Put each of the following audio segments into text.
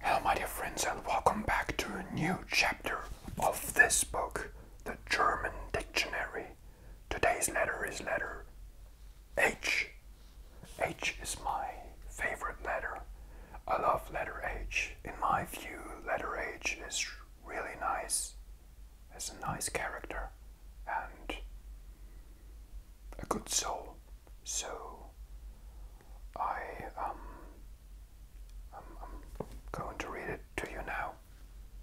Hello my dear friends and welcome back to a new chapter of this book, The German Dictionary. Today's letter is letter H. H is my favorite letter. I love letter H. In my view, letter H is really nice. It's a nice character and a good soul. So I um I'm, going to read it to you now.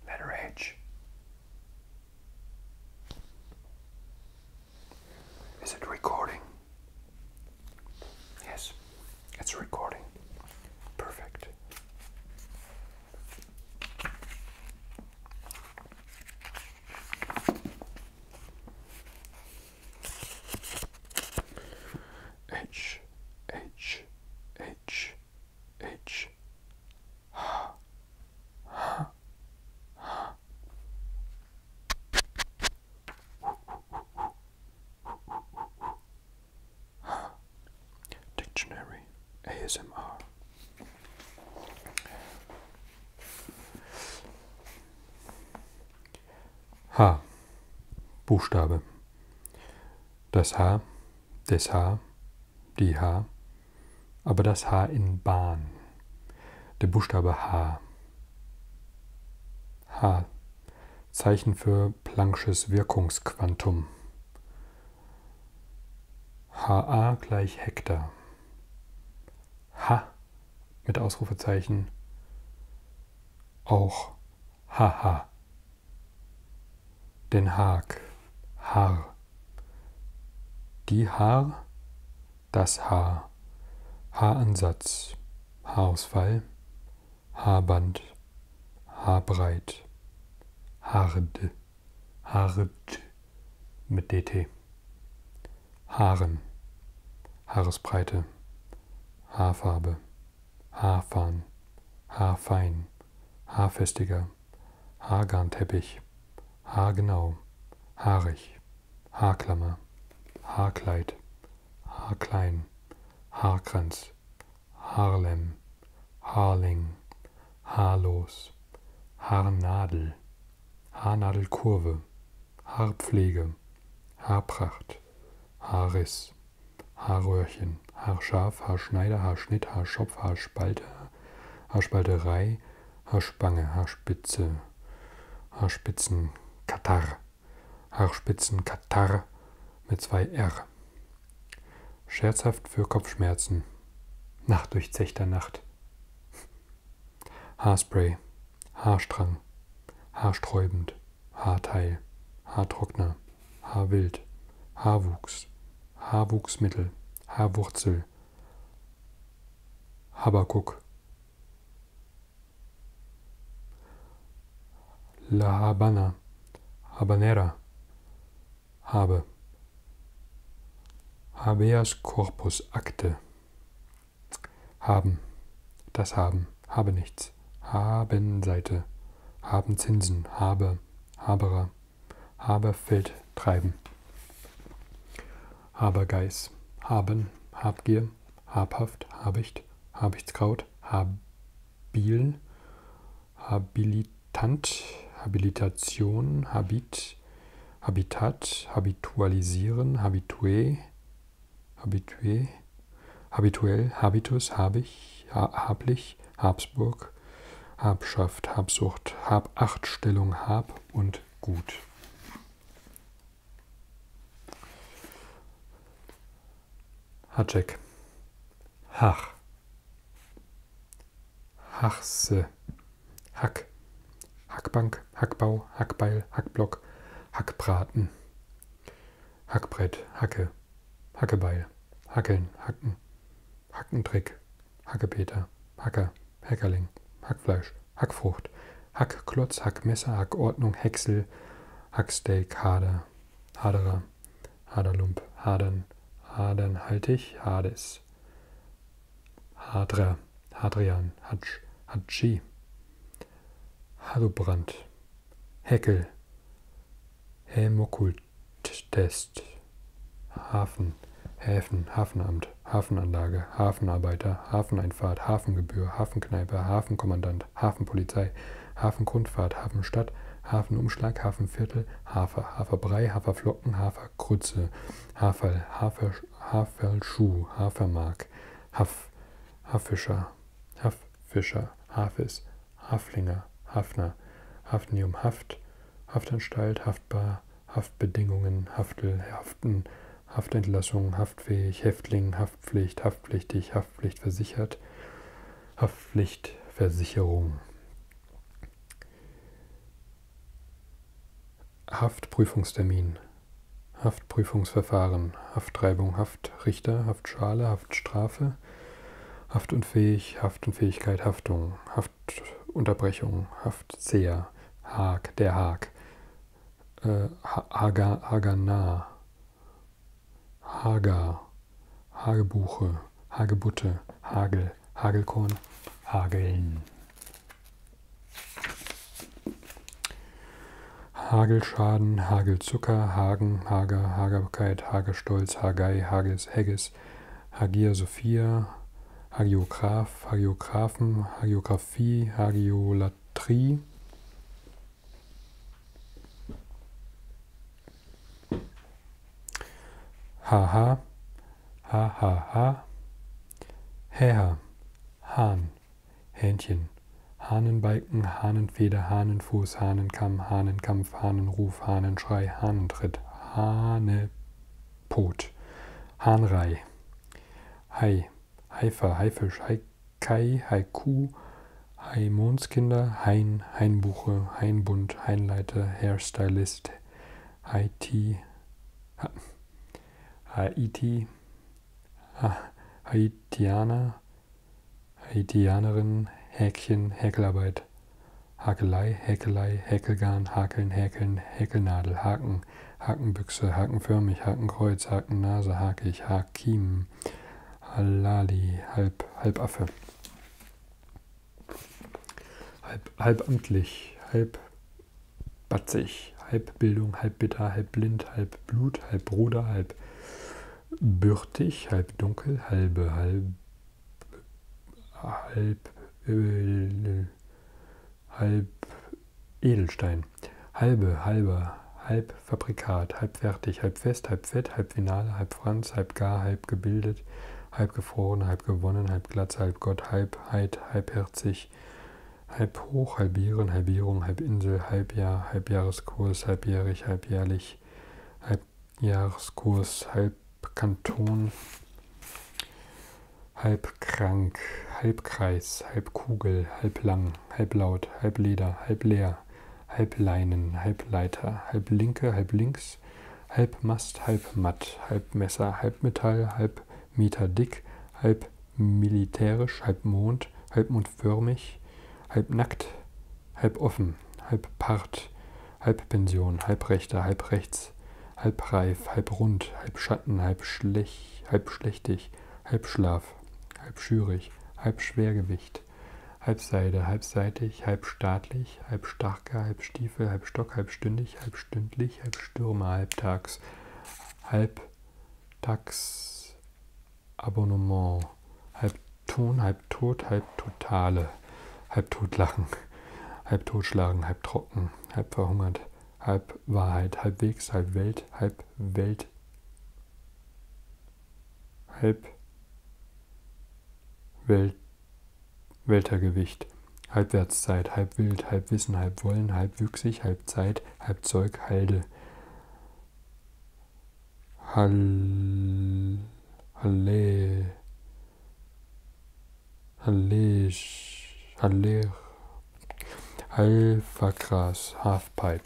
Letter H. Is it recording? Yes, it's recording. Perfect. H H H H ha ha ha Dictionary ASMR H. Buchstabe. Das H, des H, die H, aber das H in Bahn. Der Buchstabe H. H. Zeichen für Planck'sches Wirkungsquantum. HA gleich Hektar. H mit Ausrufezeichen auch Haha. Den Haag, Haar. Die Haar, das Haar. Haaransatz, Haarausfall, Haarband, Haarbreit, Haarde, Haarde mit DT. Haaren, Haaresbreite, Haarfarbe, Haarfahn, Haarfein, Haarfestiger, Haargarnteppich, Haargenau, Haarig, Haarklammer, Haarkleid, Haarklein, Haarkranz, Haarlem, Haarling, Haarlos, Haarnadel, Haarnadelkurve, Haarpflege, Haarpracht, Haarriss, Haarröhrchen, Haarscharf, Haarschneider, Haarschnitt, Haarschopf, Haarspalte, Haarspalterei, Haarspange, Haarspitze, Haarspitzenkatar, Haarspitzenkatar mit zwei R. Scherzhaft für Kopfschmerzen. Nacht durchzechter Nacht. Haarspray, Haarstrang, haarsträubend, Haarteil, Haartrockner, Haarwild, Haarwuchs, Haarwuchsmittel, Haarwurzel, Habakuk, La Habana, Habanera, Habe, Habeas Corpus Akte, haben. Das Haben. Habe nichts. Habenseite. Haben Zinsen. Habe. Haberer. Habe Feld treiben. Habergeist. Haben. Habgier. Habhaft. Habicht. Habichtskraut. Habil. Habilitant. Habilitation. Habit. Habitat. Habitualisieren. Habitué habitué, habituell, habitus, habig, ha, hablich, Habsburg, Habschaft, Habsucht, Habachtstellung, Hab und Gut. Hacek. Hach. Hachse. Hack. Hackbank, Hackbau, Hackbeil, Hackblock, Hackbraten, Hackbrett, Hacke, Hackebeil, Hackeln, Hacken, Hackentrick, Hackepeter, Hacker, Hackerling, Hackfleisch, Hackfrucht, Hackklotz, Hackmesser, Hackordnung, Häcksel, Hacksteak, Hader, Haderer, Haderlump, Hadern, Hadernhaltig, Hades, Hadra, Hadrian, Hatsch, Hatschi, Hallobrand, Heckel, Hämokulttest, Hafen, Häfen, Hafenamt, Hafenanlage, Hafenarbeiter, Hafeneinfahrt, Hafengebühr, Hafenkneipe, Hafenkommandant, Hafenpolizei, Hafengrundfahrt, Hafenstadt, Hafenumschlag, Hafenviertel, Hafer, Haferbrei, Haferflocken, Haferkrütze, Haferl, Hafer, Haferlschuh, Hafermark, Haff, Haffischer, Haff, Fischer, Hafis, Haflinger, Hafner, Hafnium Haft, Haftanstalt, Haftbar, Haftbedingungen, Haftel, Haften, Haftentlassung, haftfähig, Häftling, Haftpflicht, haftpflichtig, Haftpflichtversichert, Haftpflichtversicherung. Haftprüfungstermin Haftprüfungsverfahren, Haftreibung, Haftrichter, Haftschale, Haftstrafe, Haftunfähig, Haftunfähigkeit, Haftung, Haftunterbrechung, Haftseher, Haag, der Haag, äh, Haga, Hagana, Hager, Hagebuche, Hagebutte, Hagel, Hagelkorn, Hageln. Hagelschaden, Hagelzucker, Hagen, Hager, Hagerkeit, Hagestolz, Hagei, Hages, Hegges, Hagier, Sophia, Hagiograph, Hagiographen, Hagiographie, Hagiolatrie. Haha, hahaha, Heha, Hahn. Hähnchen. Hahnenbalken, Hahnenfeder, Hahnenfuß, Hahnenkamm, Hahnenkampf, Hahnenruf, Hahnenschrei, Hahnentritt, Hanepot, Hahnrei, Hai, Haifer, Haifisch, Haikai, Haiku, Haimondskinder, Hain, Hainbuche, Hainbund, Hainleiter, Hairstylist, Haiti, Haiti, ah, Haitianer, Haitianerin, Häkchen, Häkelarbeit, Hakelei, Häkelei, Häkelgarn, Hakeln, Häkeln, Häkelnadel, Haken, Hakenbüchse, Hakenförmig, Hakenkreuz, Hakennase, Hakig, Hakim, Halali, Halb, Halbaffe. Halb, halbamtlich, halb batzig, halb Bildung, halb bitter, halb blind, halb Blut, halb Bruder, halb bürtig, halb dunkel, halbe, halb, halb, äh, halb Edelstein, halbe, halber, halb Fabrikat, halb fertig, halb fest, halb fett, halb Finale, halb Franz, halb gar, halb gebildet, halb gefroren, halb gewonnen, halb glatt, halb Gott, halb Heid, halbherzig, halb hoch, halbieren, halbierung, halb Insel, halbjahr, halbjahreskurs, halbjährig, jährlich, halbjährlich, Halbjahreskurs, Halbkanton, Halbkrank, Halbkreis, Halbkugel, Halblang, Halblaut, Halbleder, Halbleer, Halbleinen, Halbleiter, Halblinke, Halblinks, Halbmast, Halbmatt, Halbmesser, Halbmetall, Halbmeter dick, Halbmilitärisch, Halbmond, Halbmondförmig, Halbnackt, halb offen, halb part, halb Pension, halb rechter, halb rechts, halb reif, halb rund, halb Schatten, halb schlech, halb schlechtig, halb Schlaf, halb schürig, halb Schwergewicht, halb Seide, halb seitig, halb staatlich, halb starker, halb Stiefel, halb Stock, halb stündig, halb stündlich, halb Stürmer, halb tags, halb tags, Abonnement. Halb Ton, halb tot, halb totale. Halb tot lachen, halb totschlagen, halb trocken, halb verhungert, halb Wahrheit, halb Wegs, halb Welt, halb Welt. Halb Welt, Weltergewicht, Halbwertszeit, halb wild, halb wissen, halb wollen, halb wüchsig, halb Zeit, halb Zeug, halde. Hall, Halle, Hallisch, Haller, Halvergras, Halfpipe.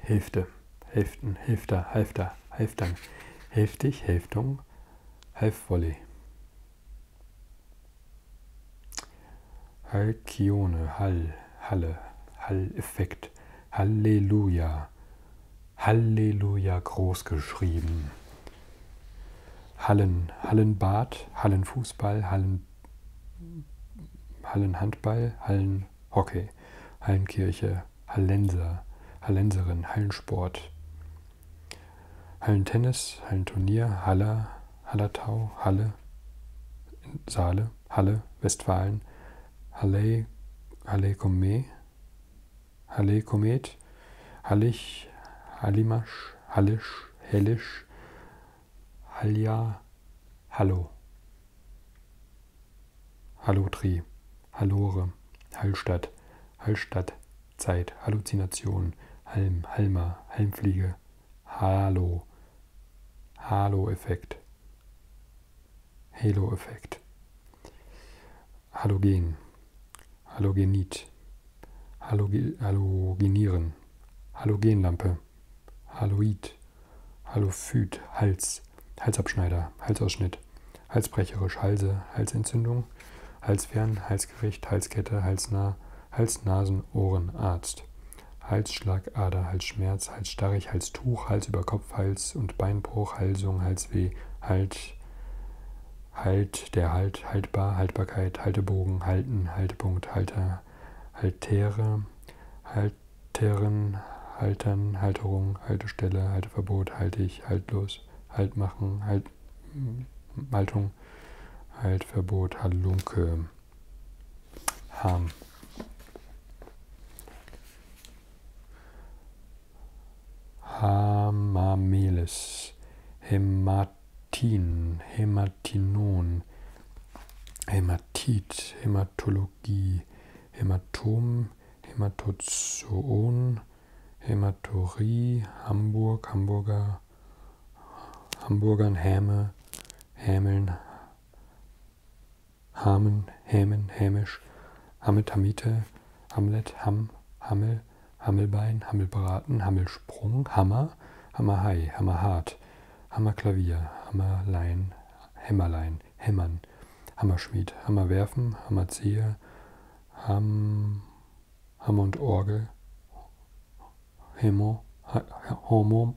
Hälfte, Hälften, Hälfter, Halfter, Halftang, Hälftig, Hälftung, Halfvolley. Halkione, Hall, Halle, Hall-Effekt, Halleluja, Halleluja groß geschrieben. Hallen, Hallenbad, Hallenfußball, Hallen, Hallenhandball, Hallenhockey, Hallenkirche, Hallenser, Hallenserin, Hallensport, Hallentennis, Hallenturnier, Haller, Hallertau, Halle, Saale, Halle, Westfalen, Halle, Halle Komet, Halle Komet, Hallig, Hallimasch, Hallisch, Hellisch, Halja, Hallo, Hallotri, Hallore, Hallstatt, Hallstatt, Zeit, Halluzination, Halm, Halma, Halmfliege, Halo. Halo-Effekt. Halo-Effekt. Halogen. Halogenit. Haloge halogenieren. Halogenlampe. Haloid. Halophyt. Hals. Halsabschneider. Halsausschnitt. Halsbrecherisch. Halse. Halsentzündung. Halsfern. Halsgericht. Halskette. Halsnah. Hals-Nasen-Ohren-Arzt. Halsschlagader, Halsschmerz, Halsstarrig, Halstuch, Hals über Kopf, Hals und Beinbruch, Halsung, Halsweh, Halt, Halt, der Halt, Haltbar, Haltbarkeit, Haltebogen, Halten, Haltepunkt, Halter, Haltere, Halteren, Haltern, Halterung, Haltestelle, Halteverbot, Haltig, Haltlos, Haltmachen, Halt, Haltung, Haltverbot, Halunke haben. Ähm. Hamamelis, Hämatin, Hämatinon, Hämatit, Hämatologie, Hämatom, Hämatozoon, Hämatorie, Hamburg, Hamburger, Hamburgern, Häme, Hämeln, Hamen, Hämen, Hämisch, Hammeltamite, Hamlet, Hamm, Hammel, Hammelbein, Hammelbraten, Hammelsprung, Hammer, Hammerhai, Hammerhart, Hammerklavier, Hammerlein, Hämmerlein, Hämmern, Hammerschmied, Hammerwerfen, Hammerzieher, Ham, Hammer und Orgel, Hemo, Homo,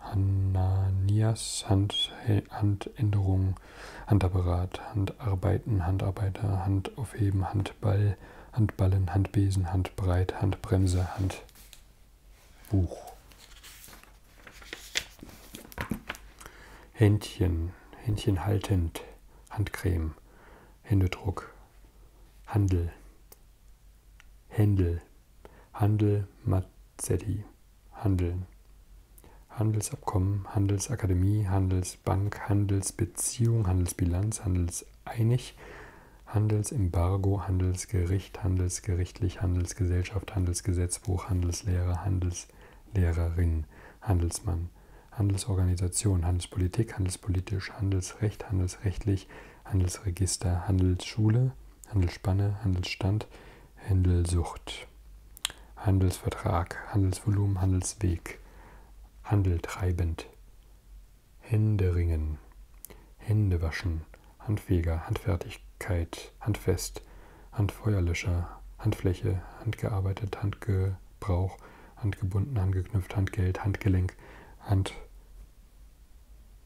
Hananias Hand, Handänderung, Handapparat, Handarbeiten, Handarbeiter, Handaufheben, Handball, Handballen, Handbesen, Handbreit, Handbremse, Handbuch. Händchen, Händchen haltend, Handcreme, Händedruck, Handel, Händel. Handel Mazzetti. Handeln. Handelsabkommen, Handelsakademie, Handelsbank, Handelsbeziehung, Handelsbilanz, Handelseinig, Handelsembargo, Handelsgericht, Handelsgerichtlich, Handelsgesellschaft, Handelsgesetzbuch, Handelslehrer, Handelslehrerin, Handelsmann, Handelsorganisation, Handelspolitik, Handelspolitisch, Handelsrecht, Handelsrechtlich, Handelsregister, Handelsschule, Handelsspanne, Handelsstand, Handelsucht, Handelsvertrag, Handelsvolumen, Handelsweg, Handeltreibend, Händeringen, Händewaschen, Handfeger, Handfertigkeit, Handfest, Handfeuerlöscher, Handfläche, handgearbeitet, Handgebrauch, handgebunden, handgeknüpft, Handgeld, Handgelenk, Hand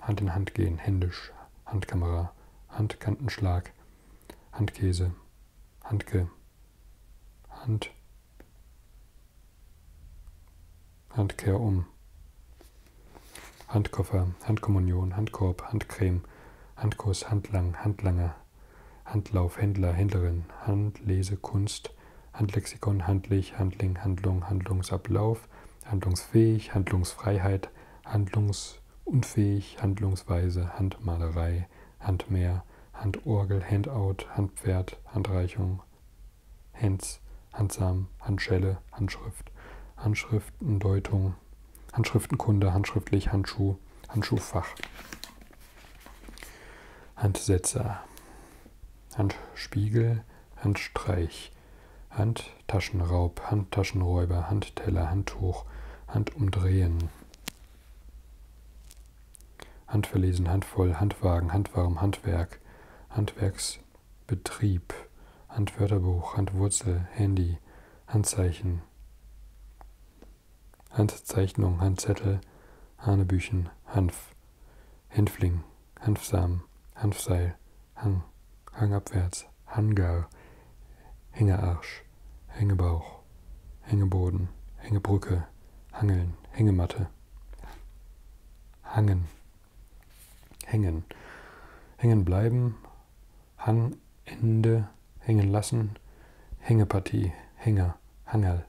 Hand in Hand gehen, händisch, Handkamera, Handkantenschlag, Handkäse, Handke, Hand, Handkehr um, Handkoffer, Handkommunion, Handkorb, Handcreme, Handkuss, Handlang, Handlanger, Handlauf, Händler, Händlerin, Handlese, Kunst, Handlexikon, Handlich, Handling, Handlung, Handlungsablauf, handlungsfähig, Handlungsfreiheit, handlungsunfähig, Handlungsweise, Handmalerei, Handmeer, Handorgel, Handout, Handpferd, Handreichung, Hands, Handsam, Handschelle, Handschrift, Handschriftendeutung, Handschriftenkunde, handschriftlich, Handschuh, Handschuhfach, Handsetzer, Handspiegel, Handstreich, Handtaschenraub, Handtaschenräuber, Handteller, Handtuch, Handumdrehen. Handverlesen, Handvoll, Handwagen, Handwarm, Handwerk, Handwerksbetrieb, Handwörterbuch, Handwurzel, Handy, Handzeichen, Handzeichnung, Handzettel, Hanebüchen, Hanf, Hänfling, Hanfsamen, Hanfseil, Hang, Hangabwärts, Hangar, Hängearsch, Hängebauch, Hängeboden, Hängebrücke, Hangeln, Hängematte, Hangen, Hängen, Hängen bleiben, Hangende, Hängen lassen, Hängepartie, Hänger, Hangerl,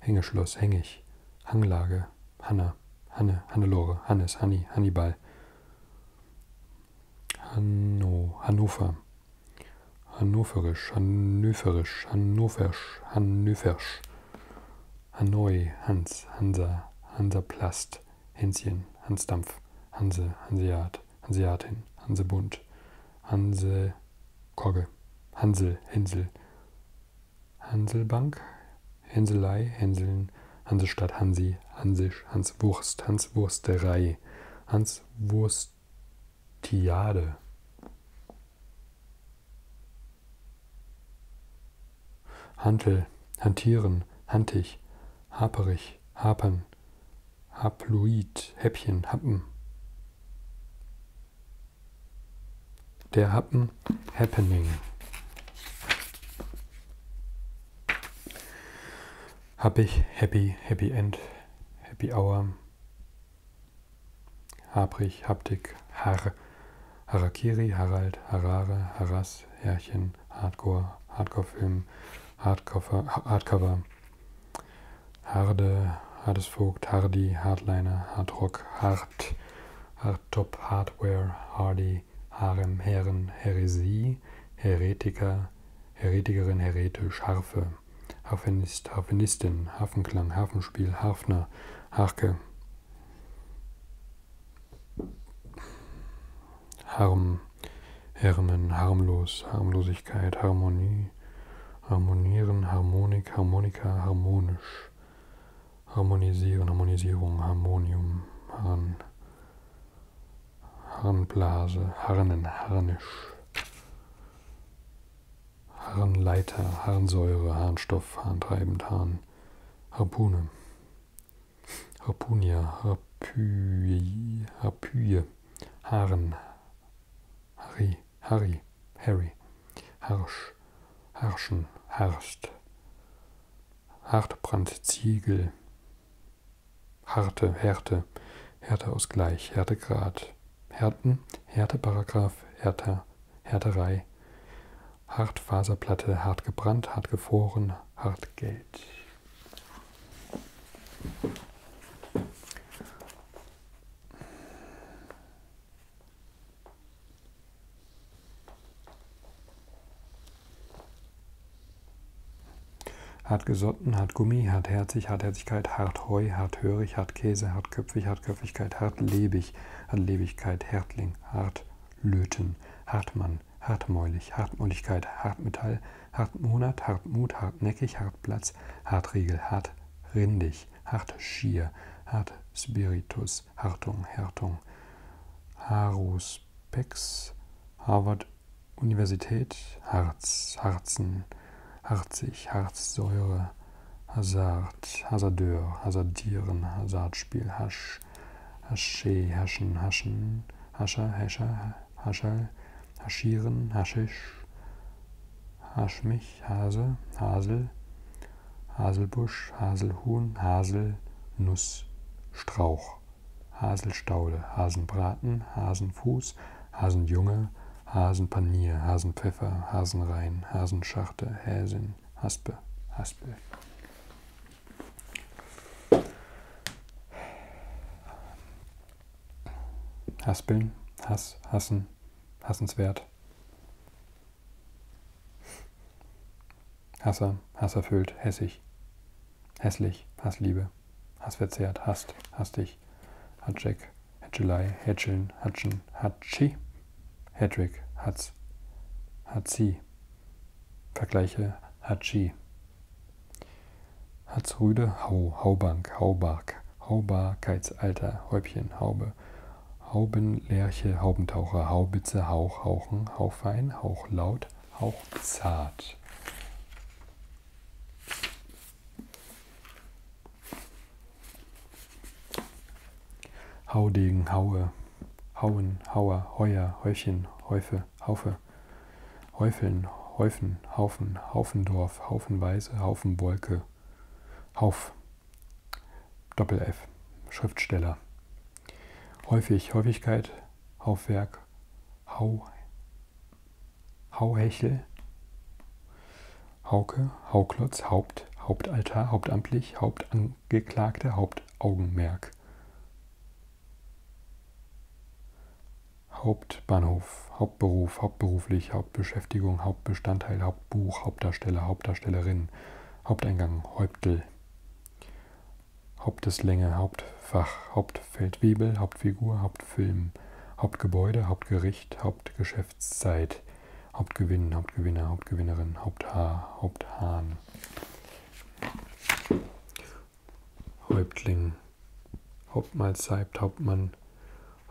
Hängeschloss, Hängig, Hanglage, Hanna, Hanne, Hannelore, Hannes, Hanni, Hannibal, Hanno, Hannover. Hannoverisch, Hannöverisch, Hannoversch, Hannöversch. Hanoi, Hans, Hansa, Hansaplast, Hänschen, Hansdampf, Hanse, Hanseat, Hanseatin, Hansebund, Hanse, Kogge, Hansel, Hänsel, Hanselbank, Hänselei, Hänseln, Hansestadt, Hansi, Hansisch, Hans Wurst, Hans Wursterei, Hans Wurstiade. Hantel, Hantieren, Hantig, Haperig, Hapern, Haploid, Häppchen, Happen. Der Happen, Happening. Habe ich Happy, Happy End, Happy Hour, Habrig, Haptik, Har, Harakiri, Harald, Harare, Haras, Herrchen, Hardcore, Hardcore-Film, Hardcover, Hardcover, Harde, Hardesvogt, Hardy, Hardliner, Hardrock, Hard, Hardtop, Hardware, Hardy, die Harem, Herren, Häresie, Heretiker, Heretikerin, Heretisch, Harfe, Harfenist, Harfenistin, Hafenklang, Hafenspiel, Harfner, Harke, Harm, Hermen, Harmlos, Harmlosigkeit, Harmonie, Harmonieren, Harmonik, Harmonika, Harmonisch, Harmonisieren, Harmonisierung, Harmonium, Harn, Harnblase, Harnen, Harnisch, Harnleiter, Harnsäure, Harnstoff, Harntreibend, Harn, Harpune, Harpunia, Harpy, Harpyie, Harn, Harry, Harry, Harry, Harsch, Harschen, Harst, Hartbrand, Ziegel, Harte, Härte, Härteausgleich, Härtegrad, Härten, Härteparagraph, Härter, Härterei, Hartfaserplatte, hart gebrannt, hart gefroren, hart Geld. Hart gesotten, hart Gummi, hart herzig, hart Herzigkeit, hart Heu, hart hörig, hart Käse, hart Köpfig, hart Köpfigkeit, hart lebig, hart Lebigkeit, Härtling, hart Löten, Hartmann, hartmäulig, Hartmäuligkeit, Hartmetall, Hartmonat, Hartmut, hartnäckig, Hartplatz, Hartriegel, hart rindig, hart schier, hart Spiritus, Hartung, Härtung, Harus, Pex, Harvard, Universität Harz, Harzen, Harzig, Harzsäure, Hazard, Hazardeur, Hazardieren, Hazardspiel, Hasch, Hasche, Haschen, Haschen, Hascher, Häscher, Hascherl, Haschieren, Haschisch, Haschmich, Hase, Hasel, Haselbusch, Haselhuhn, Hasel, Nuss, Strauch. Haselstaude, Hasenbraten, Hasenfuß, Hasenjunge, Hasenpanier, Hasenpfeffer, Hasenrein, Hasenschachte, Häsin, Haspe, Haspel. Haspeln, Hass, Hassen, Hassenswert. Hasser, Hasserfüllt, Hässig, Hässlich, Hassliebe. Hassverzehrt, Hast, Hastig, Hatschek, Hätschelei, Hätscheln, Hatschen, Hatschi, Hedrick, Hatz, Hatzi. Vergleiche Hatschi. Hatzrüde, Hau, Haubank, Haubark, Haubarkeitsalter, Häubchen, Haube, Haubenlerche, Haubentaucher, Haubitze, Hauch, Hauchen, Hauchwein, Hauchlaut, hauchzart. Haudegen, Haue, Hauen, Hauer, Heuer, Heuchen, Häufe, Haufe, Häufeln, Häufen, Haufen, Haufendorf, Haufenweise, Haufenwolke, Hauf, Doppel-F, Schriftsteller. Häufig, Häufigkeit, Haufwerk, Hau, Hauhechel, Hauke, Hauklotz, Haupt, Hauptaltar, Hauptamtlich, Hauptangeklagte, Hauptaugenmerk. Hauptbahnhof, Hauptberuf, hauptberuflich, Hauptbeschäftigung, Hauptbestandteil, Hauptbuch, Hauptdarsteller, Hauptdarstellerin, Haupteingang, Häuptel, Haupteslänge, Hauptfach, Hauptfeldwebel, Hauptfigur, Hauptfilm, Hauptgebäude, Hauptgericht, Hauptgeschäftszeit, Hauptgewinn, Hauptgewinner, Hauptgewinnerin, Haupthaar, Haupthahn, Häuptling, Hauptmahlzeit, Hauptmann,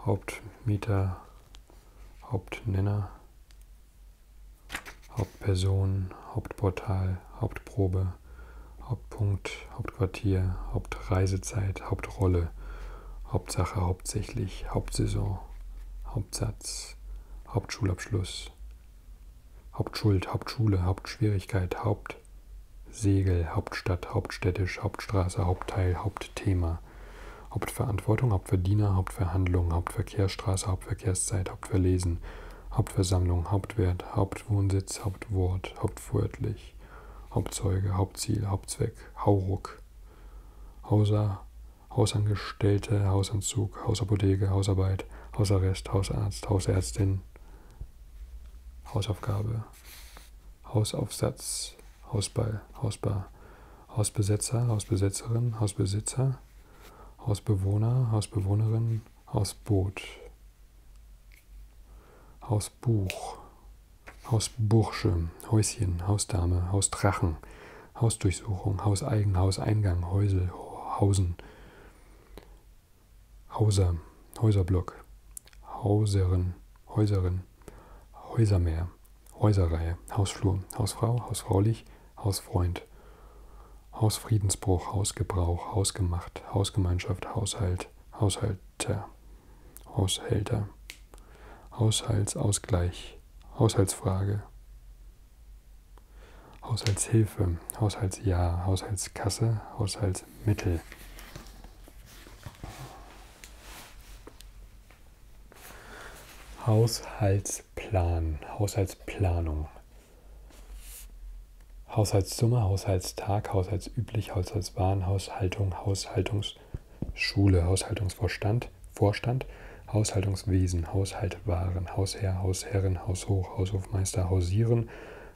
Hauptmieter, Hauptnenner, Hauptperson, Hauptportal, Hauptprobe, Hauptpunkt, Hauptquartier, Hauptreisezeit, Hauptrolle, Hauptsache, hauptsächlich, Hauptsaison, Hauptsatz, Hauptschulabschluss, Hauptschuld, Hauptschule, Hauptschwierigkeit, Hauptsegel, Hauptstadt, Hauptstädtisch, Hauptstraße, Hauptteil, Hauptthema, Hauptverantwortung, Hauptverdiener, Hauptverhandlung, Hauptverkehrsstraße, Hauptverkehrszeit, Hauptverlesen, Hauptversammlung, Hauptwert, Hauptwohnsitz, Hauptwort, Hauptwörtlich, Hauptzeuge, Hauptziel, Hauptzweck, Hauruck, Hauser, Hausangestellte, Hausanzug, Hausapotheke, Hausarbeit, Hausarrest, Hausarzt, Hausärztin, Hausaufgabe, Hausaufsatz, Hausball, Hausbar, Hausbesetzer, Hausbesetzerin, Hausbesitzer, Hausbewohner, Hausbewohnerin, Hausboot. Hausbuch, Hausbursche, Häuschen, Hausdame, Hausdrachen, Hausdurchsuchung, Hauseigen, Hauseingang, Häusel, Hausen, Hauser, Häuserblock, Hauserin, Häuserin, Häusermeer, Häuserreihe, Hausflur, Hausfrau, Hausfraulich, Hausfreund, Hausfriedensbruch, Hausgebrauch, Hausgemacht, Hausgemeinschaft, Haushalt, Haushalt, Haushalter, Haushälter, Haushaltsausgleich, Haushaltsfrage, Haushaltshilfe, Haushaltsjahr, Haushaltskasse, Haushaltsmittel. Haushaltsplan, Haushaltsplanung, Haushaltssumme, Haushaltstag, Haushaltsüblich, Haushaltswaren, Haushaltung, Haushaltungsschule, Haushaltungsvorstand, Vorstand, Haushaltungswesen, Haushaltwaren, Hausherr, Hausherrin, Haushoch, Haushofmeister, Hausieren,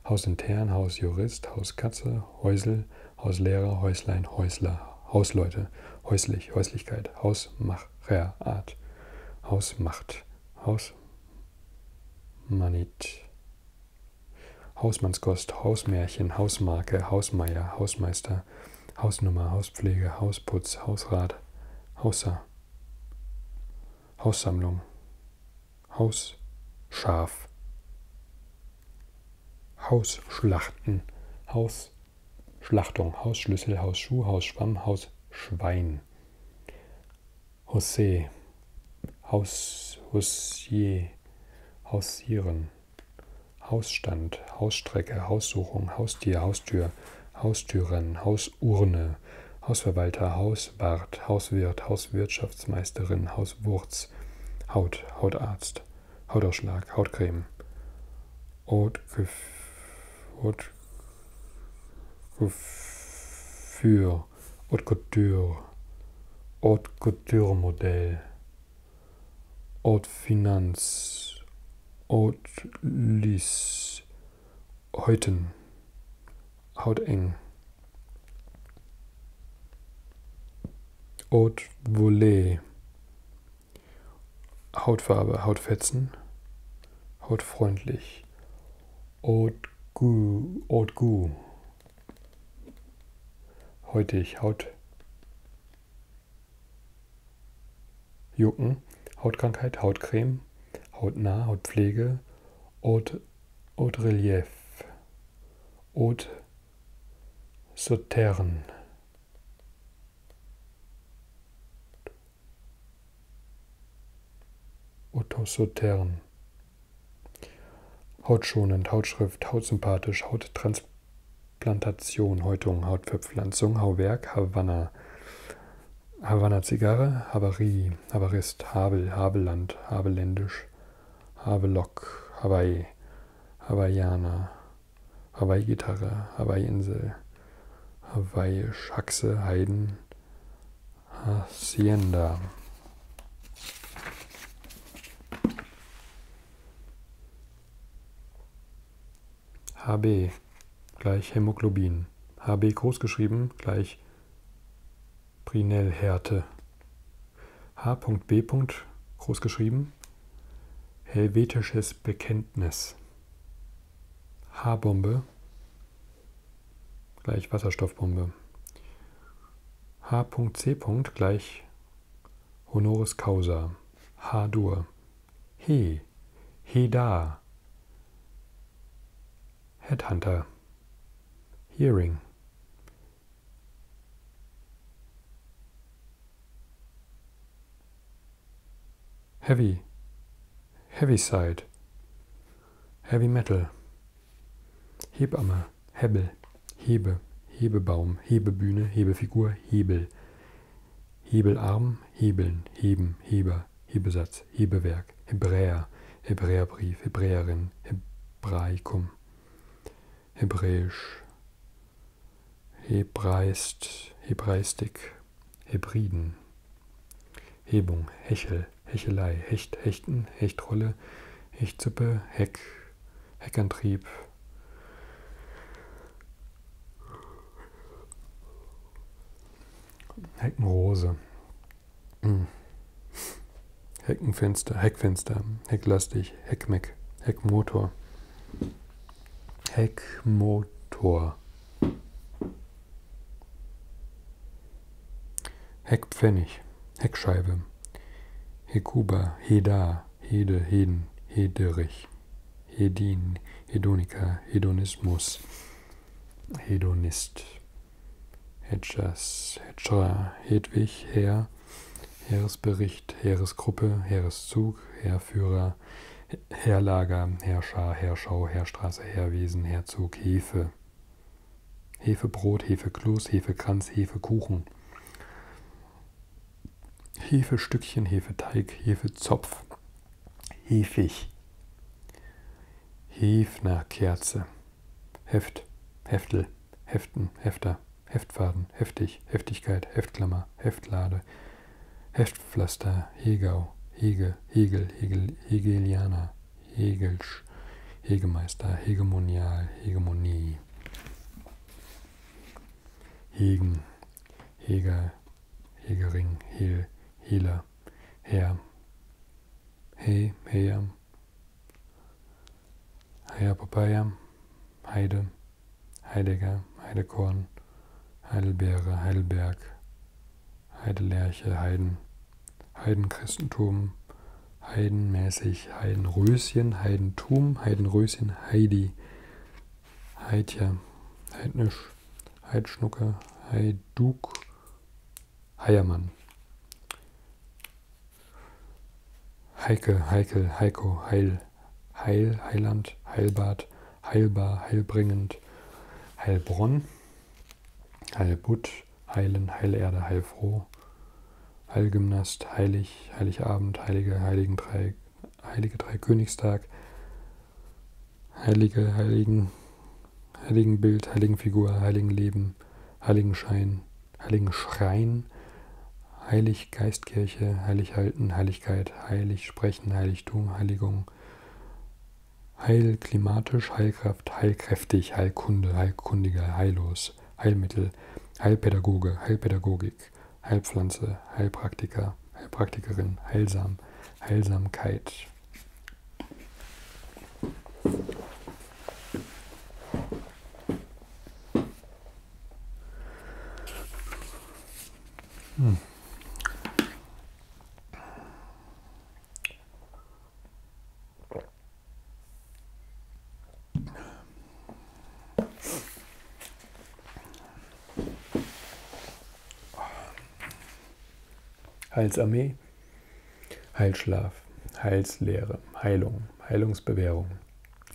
Hausintern, Hausjurist, Hauskatze, Häusel, Hauslehrer, Häuslein, Häusler, Hausleute, Häuslich, Häuslichkeit, Hausmacherart, Hausmacht, Hausmanit, Hausmannskost, Hausmärchen, Hausmarke, Hausmeier, Hausmeister, Hausnummer, Hauspflege, Hausputz, Hausrat, Hausser, Haussammlung, Hausschaf, Hausschlachten, Hausschlachtung, Hausschlüssel, Hausschuh, Hausschwamm, Hausschwein, Jose, Haus, Hosier, Hausieren, Hausstand, Hausstrecke, Haussuchung, Haustier, Haustür, Haustüren, Hausurne, Hausverwalter, Hauswart, Hauswirt, Hauswirtschaftsmeisterin, Hauswurz, Haut, Hautarzt, Hautausschlag, Hautcreme, Hautgefühl, Haute Couture, Haute Couture Modell, Haute Finanz, Haute Lis, Häuten, Hauteng, Haute Volée, Hautfarbe, Hautfetzen, Hautfreundlich, Haute Gu, Haute Gu, heute ich Haut Jucken, Hautkrankheit, Hautcreme, Hautnah, Hautpflege, Haute, Haute Relief, Haute Sauterne. Otto Sautern. Hautschonend, Hautschrift, Hautsympathisch, Hauttransplantation, Häutung, Hautverpflanzung, Hauwerk, Havanna. Havanna Zigarre, Havarie, Havarist, Havel, Havelland, Haveländisch, Havelock, Hawaii, Hawaiianer, Hawaii-Gitarre, Hawaii-Insel, Hawaii, Schaxe, Hawaii Heiden, Hacienda. HB gleich Hämoglobin. HB großgeschrieben gleich Brinellhärte. H.B. großgeschrieben helvetisches Bekenntnis. H-Bombe gleich Wasserstoffbombe h.c. gleich honoris causa, H-Dur, He, Heda, Headhunter, Hearing. Heavy, Heavy Side, Heavy Metal, Hebamme, Hebel, Hebe, Hebebaum, Hebebühne, Hebefigur, Hebel. Hebelarm, Hebeln, Heben, Heber, Hebesatz, Hebewerk, Hebräer, Hebräerbrief, Hebräerin, Hebraikum, Hebräisch, Hebreist, Hebreistik, Hebriden, Hebung, Hechel, Hechel, Hechelei, Hecht, Hechten, Hechtrolle, Hechtsuppe, Heck, Heckantrieb. Heckenrose. Hm. Heckenfenster, Heckfenster, Hecklastig, Heckmeck, Heckmotor. Heckmotor. Heckpfennig, Heckscheibe, Hekuba, Heda, Hede, Heden, Hederich, Hedin, Hedonika, Hedonismus, Hedonist, Hedgers, Hedger, Hedwig, Herr, Heeresbericht, Heeresgruppe, Heereszug, Heerführer, Heerlager, Herrscher, Herrschau, Heerstraße, Heerwesen, Herzog, Hefe. Hefebrot, Hefekloß, Hefekranz, Hefekuchen. Hefestückchen, Hefeteig, Hefezopf, Hefig, Hefnerkerze, Heft, Heftel, Heften, Hefter, Heftfaden, Heftig, Heftigkeit, Heftklammer, Heftlade, Heftpflaster, Hegau, Hege, Hegel, Hegel, Hegelianer, Hegelsch, Hegemeister, Hegemonial, Hegemonie. Hegen, Heger, Hegering, Hel, Hehler, Herr, He, Heer, Heer Papaya, Heide, Heidegger, Heidekorn, Heidelbeere, Heidelberg, Heidelerche, Heiden, Heidenchristentum, Heidenmäßig, Heidenröschen, Heidentum, Heidenröschen, Heidi, Heidja, Heidnisch, Heidschnucker, Heiduk, Heiermann. Heike, Heikel, Heiko, Heil, Heil, Heiland, Heilbad, Heilbar, Heilbringend, Heilbronn, Heilbutt, heilen, Heilerde, heilfroh, Heilgymnast, heilig, Heiligabend, heilige, heiligen drei, heilige Dreikönigstag, heilige, heiligen, heiligen Bild, heiligen Figur, heiligen Leben, heiligen Schein, heiligen Schrein, heilig Geistkirche, heilig halten, Heiligkeit, heilig sprechen, Heiligtum, Heiligung, heil klimatisch, Heilkraft, heilkräftig, heilkunde, heilkundiger, heillos, Heilmittel, Heilpädagoge, Heilpädagogik, Heilpflanze, Heilpraktiker, Heilpraktikerin, Heilsam, Heilsamkeit. Hm. Heilsarmee, Heilschlaf, Heilslehre, Heilung, Heilungsbewährung,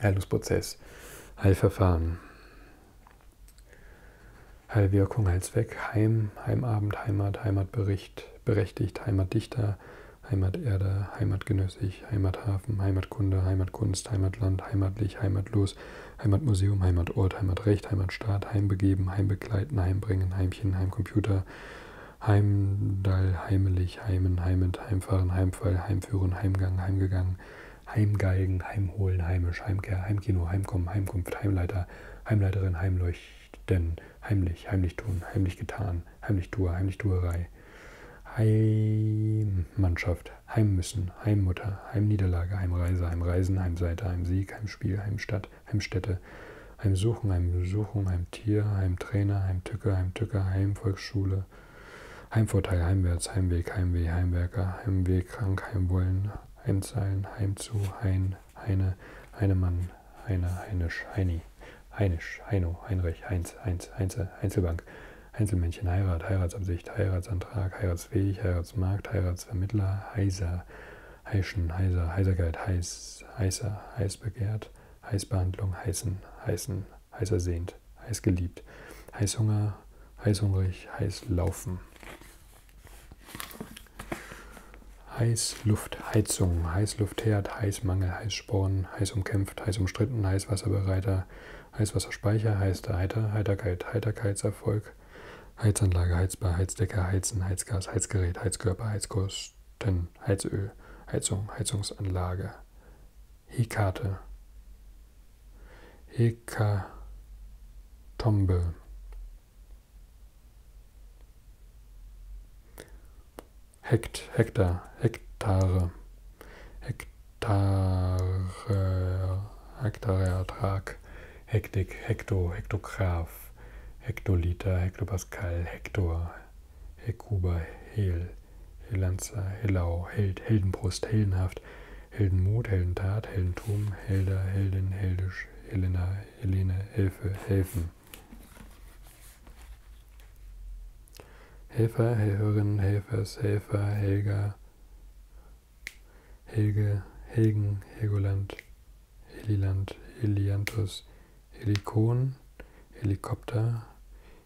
Heilungsprozess, Heilverfahren, Heilwirkung, Heilzweck, Heim, Heimabend, Heimat, Heimatbericht, berechtigt, Heimatdichter, Heimaterde, Heimatgenössig, Heimathafen, Heimatkunde, Heimatkunst, Heimatland, Heimatlich, Heimatlos, Heimatmuseum, Heimatort, Heimatrecht, Heimatstaat, Heimbegeben, Heimbegleiten, Heimbringen, Heimchen, Heimcomputer, Heimdall, Heimelig, Heimen, Heimend, Heimfahren, Heimfall, Heimführen, Heimgang, Heimgegangen, Heimgeigen, Heimholen, Heimisch, Heimkehr, Heimkino, Heimkommen, Heimkunft, Heimleiter, Heimleiterin, Heimleuchten, Heimlich, Heimlich tun, Heimlich getan, Heimlich Tour, Heimlich Tuerei, Heimmannschaft, Heimmüssen, Heimmutter, Heimniederlage, Heimreise, Heimreisen, Heimseite, Heimsieg, Heimspiel, Heimstadt, Heimstätte, Heimsuchen, Heimsuchung, Heimtier, Heimtrainer, Heimtücke, Heimtücke, Heimvolksschule, Heimvorteil, Heimwärts, Heimweg, Heimweh, Heimwerker, Heimweg, Krank, Heimwollen, Heimzahlen, Heimzu, Hein, Heine, Heinemann, Heine, Heinisch, Heini, Heinisch, Heino, Heinrich, Heinz, Heinz, Heinze, Einzelbank, Einzelmännchen, Heirat, Heiratsabsicht, Heiratsantrag, Heiratsfähig, Heiratsmarkt, Heiratsvermittler, Heiser, Heischen, Heiser, Heiserkeit, Heiß, Heißer, Heißbegehrt, Heißbehandlung, Heißen, Heißen, Heißersehnt, Heißgeliebt, Heißhunger, Heißhungrig, Heißlaufen. Heißluft, Heizung, Heißluftherd, Heißmangel, Heiß Heißsporn, heiß umkämpft, heiß umstritten, Heißwasserbereiter, Heißwasserspeicher, heißer Heiter, Heiterkeit, Heiterkeitserfolg, Heizanlage, Heizbar, Heizdecke, Heizen, Heizgas, Heizgerät, Heizkörper, Heizkosten, Heizöl, Heizung, Heizungsanlage, Hekate, Hekatombe. Hekt, Hektar, Hektare, Hektare, Hektareertrag, Hektik, Hekto, Hektograph, Hektoliter, Hektopascal, Hektor, Hekuba, Hel, Helanzer, Helau, Held, Heldenbrust, Heldenhaft, Heldenmut, Heldentat, Heldentum, Helder, Heldin, Heldisch, Helena, Helene, Hilfe, Helfen. Helfer, Helferinnen, Helfers, Helfer, Helga, Helge, Helgen, Helgoland, Heliland, Helianthus, Helikon, Helikopter,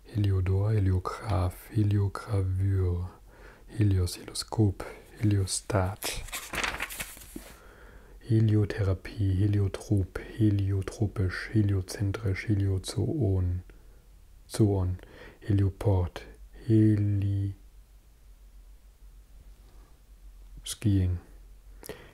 Heliodor, Heliograph, Heliogravür, Helios, Helioskop, Heliostat, Heliotherapie, Heliotrop, Heliotropisch, Heliozentrisch, Heliozoon, so on. Helioport, Heli, Skiing,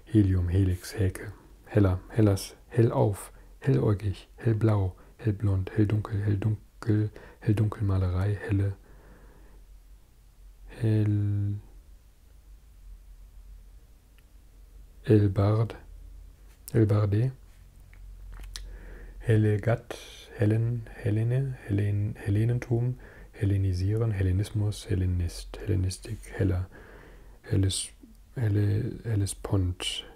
Helium, Helix, Häkel, heller, hellers, hell auf, helläugig, hellblau, hellblond, helldunkel, helldunkel, helldunkelmalerei, helle, hell, Elbard, Elbarde, Helegat, Helen, Helene, Helen, Helenentum, Hellenisieren, Hellenismus, Hellenist, Hellenistik, Heller, Helles, Helle, Hellespont,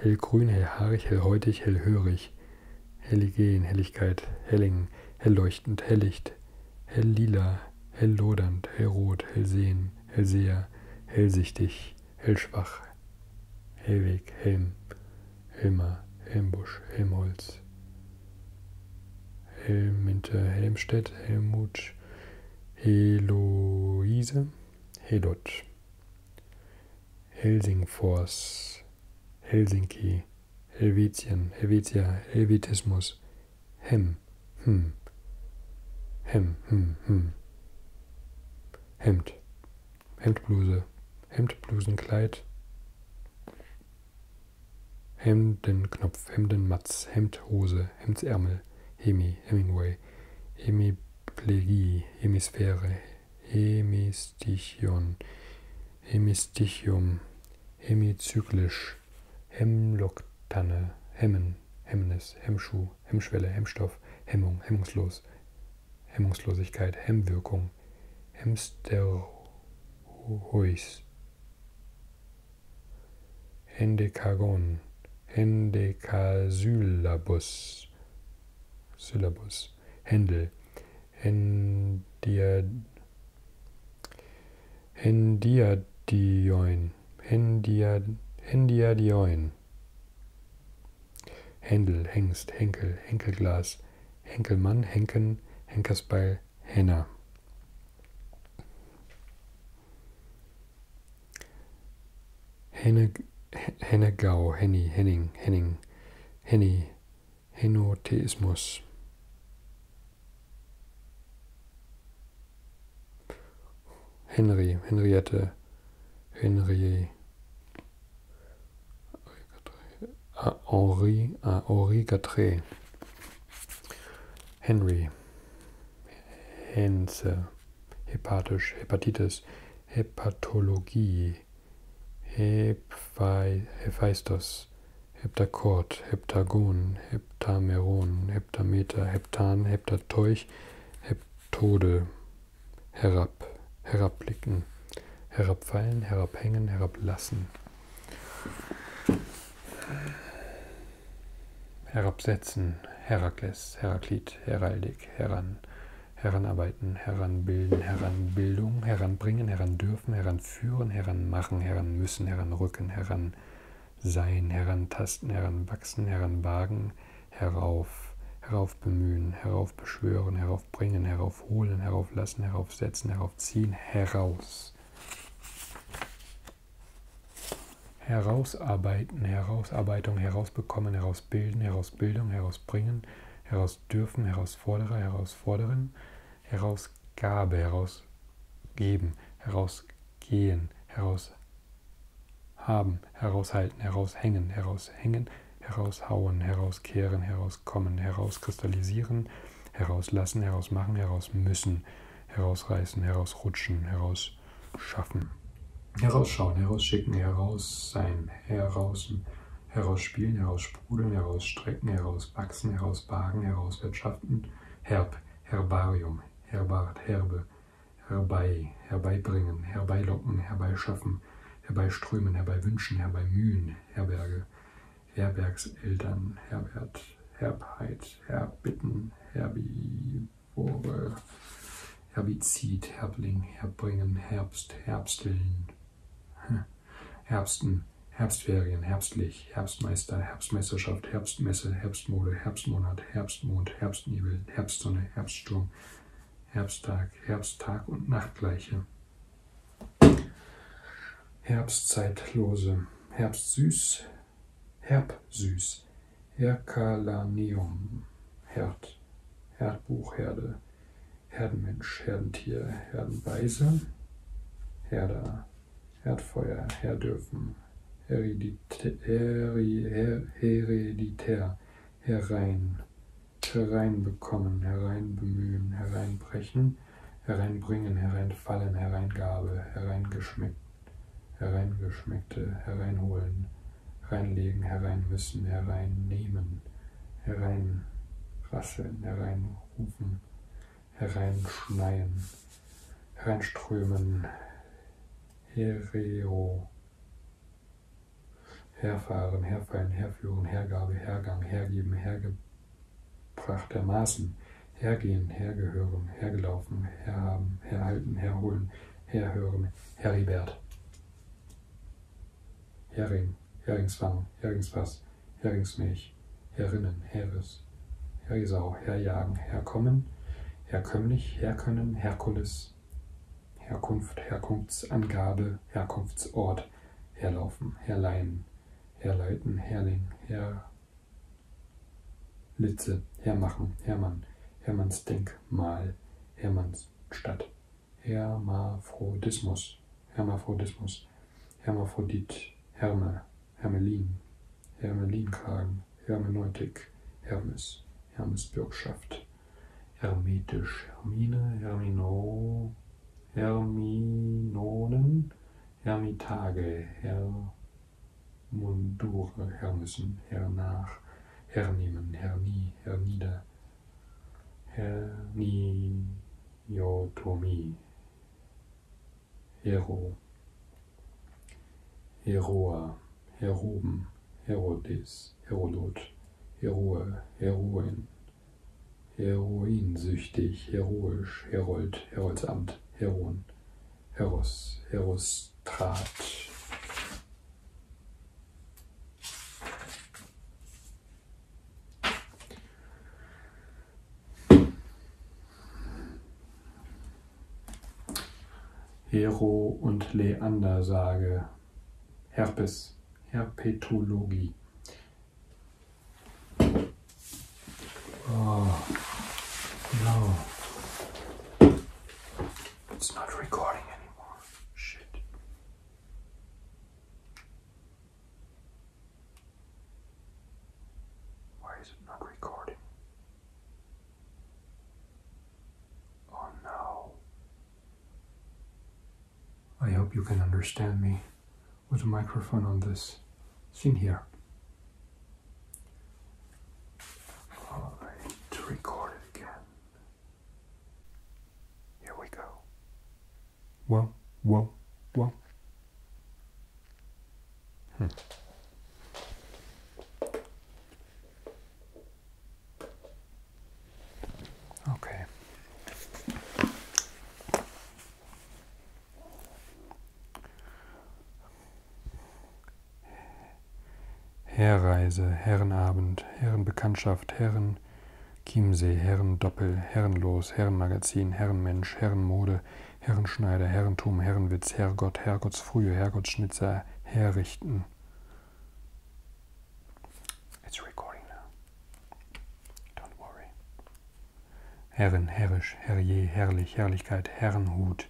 Hellgrün, Hellhaarig, Hellhäutig, Hellhörig, Helligen, Helligkeit, Helling, Hellleuchtend, Helllicht, Helllila, Helllodernd, Hellrot, Hellsehen, Hellseher, Hellsichtig, Hellschwach, Hellweg, Helm, Helmer, Helmbusch, Helmholz, Helminte, Helmstedt, Helmut, Heloise, Helot, Helsingfors, Helsinki, Helvetien, Helvetia, Helvetismus, Hem, Hm, Hem, Hm, Hm. Hemd, Hemdbluse, Hemdblusenkleid, Hemdenknopf, Hemdenmatz, Hemdhose, Hemdsärmel, Hemi, Hemingway, Hemiplegie, Hemisphäre, Hemistichion, Hemistichium, Hemizyklisch, Hemloktanne, Hemmen, Hemmnis, Hemmschuh, Hemmschwelle, Hemmstoff, Hemmung, Hemmungslos, Hemmungslosigkeit, Hemmwirkung, Hemsterhuis, Hendekagon, Hendekasylabus, Syllabus, Händel, Hendiad, Hendiadioin, Hendiad, Hendiadioin, Händen. Händel, Hengst, Henkel, Henkelglas, Henkelmann, Henken, Henkersbeil, Henner. Henne, Hennegau, Henny, Henning, Henning, Henny, Henotheismus. Henry, Henriette, Henri, Henri, Henri Gatré, Henry, Hense, hepatisch, Hepatitis, Hepatologie, Hephe, Hephaistos, Heptakord, Heptagon, Heptameron, Heptameter, Heptan, Heptateuch, Heptode, herab, herabblicken, herabfallen, herabhängen, herablassen, herabsetzen, Herakles, Heraklit, Heraldik, heran, heranarbeiten, heranbilden, heranbildung, heranbringen, herandürfen, heranführen, heranmachen, heranmüssen, heranrücken, heran sein, herantasten, heranwachsen, heranwagen, heranwagen herauf, heraufbemühen, heraufbeschwören, heraufbringen, heraufholen, herauflassen, heraufsetzen, heraufziehen, heraus. Herausarbeiten, Herausarbeitung, herausbekommen, herausbilden, Herausbildung, herausbringen, herausdürfen, Herausforderer, Herausforderin, Herausgabe, herausgeben, herausgehen, heraus haben, heraushalten, heraushängen, heraushängen, heraushauen, herauskehren, herauskommen, herauskristallisieren, herauslassen, herausmachen, herausmüssen, herausreißen, herausrutschen, herausschaffen, herausschauen, herausschicken, heraussein, herausen, herausspielen, heraussprudeln, herausstrecken, herauswachsen, herauswagen, herauswirtschaften, herb, herbarium, herbart, herbe, herbei, herbeibringen, herbeilocken, herbeischaffen, herbeiströmen, herbeiwünschen, herbeimühen, Herberge, Herbergseltern, Herbert, Herbheit, Herbitten, Herbivore, Herbizid, Herbling, Herbringen, Herbst, Herbsteln, Herbsten, Herbstferien, Herbstlich, Herbstmeister, Herbstmeisterschaft, Herbstmesse, Herbstmode, Herbstmonat, Herbstmond, Herbstnebel, Herbstsonne, Herbststurm, Herbsttag, Herbsttag und Nachtgleiche. Herbstzeitlose, Herbstsüß, Herbsüß, Hercalanium, Herd, Herdbuchherde, Herdenmensch, Herdentier, Herdenweise, Herder, Herdfeuer, Herdürfen, Hereditär, Hereditär herein, hereinbekommen, hereinbemühen, hereinbrechen, hereinbringen, hereinfallen, hereingabe, hereingeschmeckt, hereingeschmeckte, hereinholen, hereinlegen, hereinmüssen, hereinnehmen, hereinrasseln, hereinrufen, hereinschneien, hereinströmen, herero, Herfahren, herfallen, herführen, Hergabe, Hergang, hergeben, hergebrachtermaßen, hergehen, hergehören, hergelaufen, herhaben, herhalten, herholen, herhören, Heribert. Hering, Heringsfang, Heringsfass, Heringsmilch, Herinnen, Heres, Herisau, Herjagen, Herkommen, Herkömmlich, Herkönnen, Herkules, Herkunft, Herkunftsangabe, Herkunftsort, herlaufen, herleihen, herleiten, herling, herlitze, hermachen, Hermann, Hermannsdenkmal, Hermannsstadt, Hermaphrodismus, Hermaphrodismus, Hermaphrodit, Herme, Hermelin, Hermelinkragen, Hermeneutik, Hermes, Hermesbürgschaft hermetisch. Hermine, Hermino, Herminonen, Hermitage, Hermundure, Hermissen, Hernach, Hernehmen, Hernie, Hernieder, Herniotomie, Hero, Heroa. Heroben, Herodes, Herodot, Heroe, Heroin, Heroinsüchtig, Heroisch, Herold, Heroldsamt, Heron, Heros, Herostrat. Hero und Leander sage, Herpes, herpetology. Ah, no. It's not recording anymore. Shit. Why is it not recording? Oh no. I hope you can understand me with a microphone on this scene here. Alright, to record it again. Here we go. Whoa, whoa, whoa. Hmm. Okay. Herreise, Herrenabend, Herrenbekanntschaft, Herren Chiemsee, Herrendoppel, Herrenlos, Herrenmagazin, Herrenmensch, Herrenmode, Herrenschneider, Herrentum, Herrenwitz, Herrgott, Herrgottsfrühe, Herrgottsschnitzer, Herrichten. It's recording now. Don't worry. Herren, herrisch, herrje, herrlich, Herrlichkeit, Herrenhut,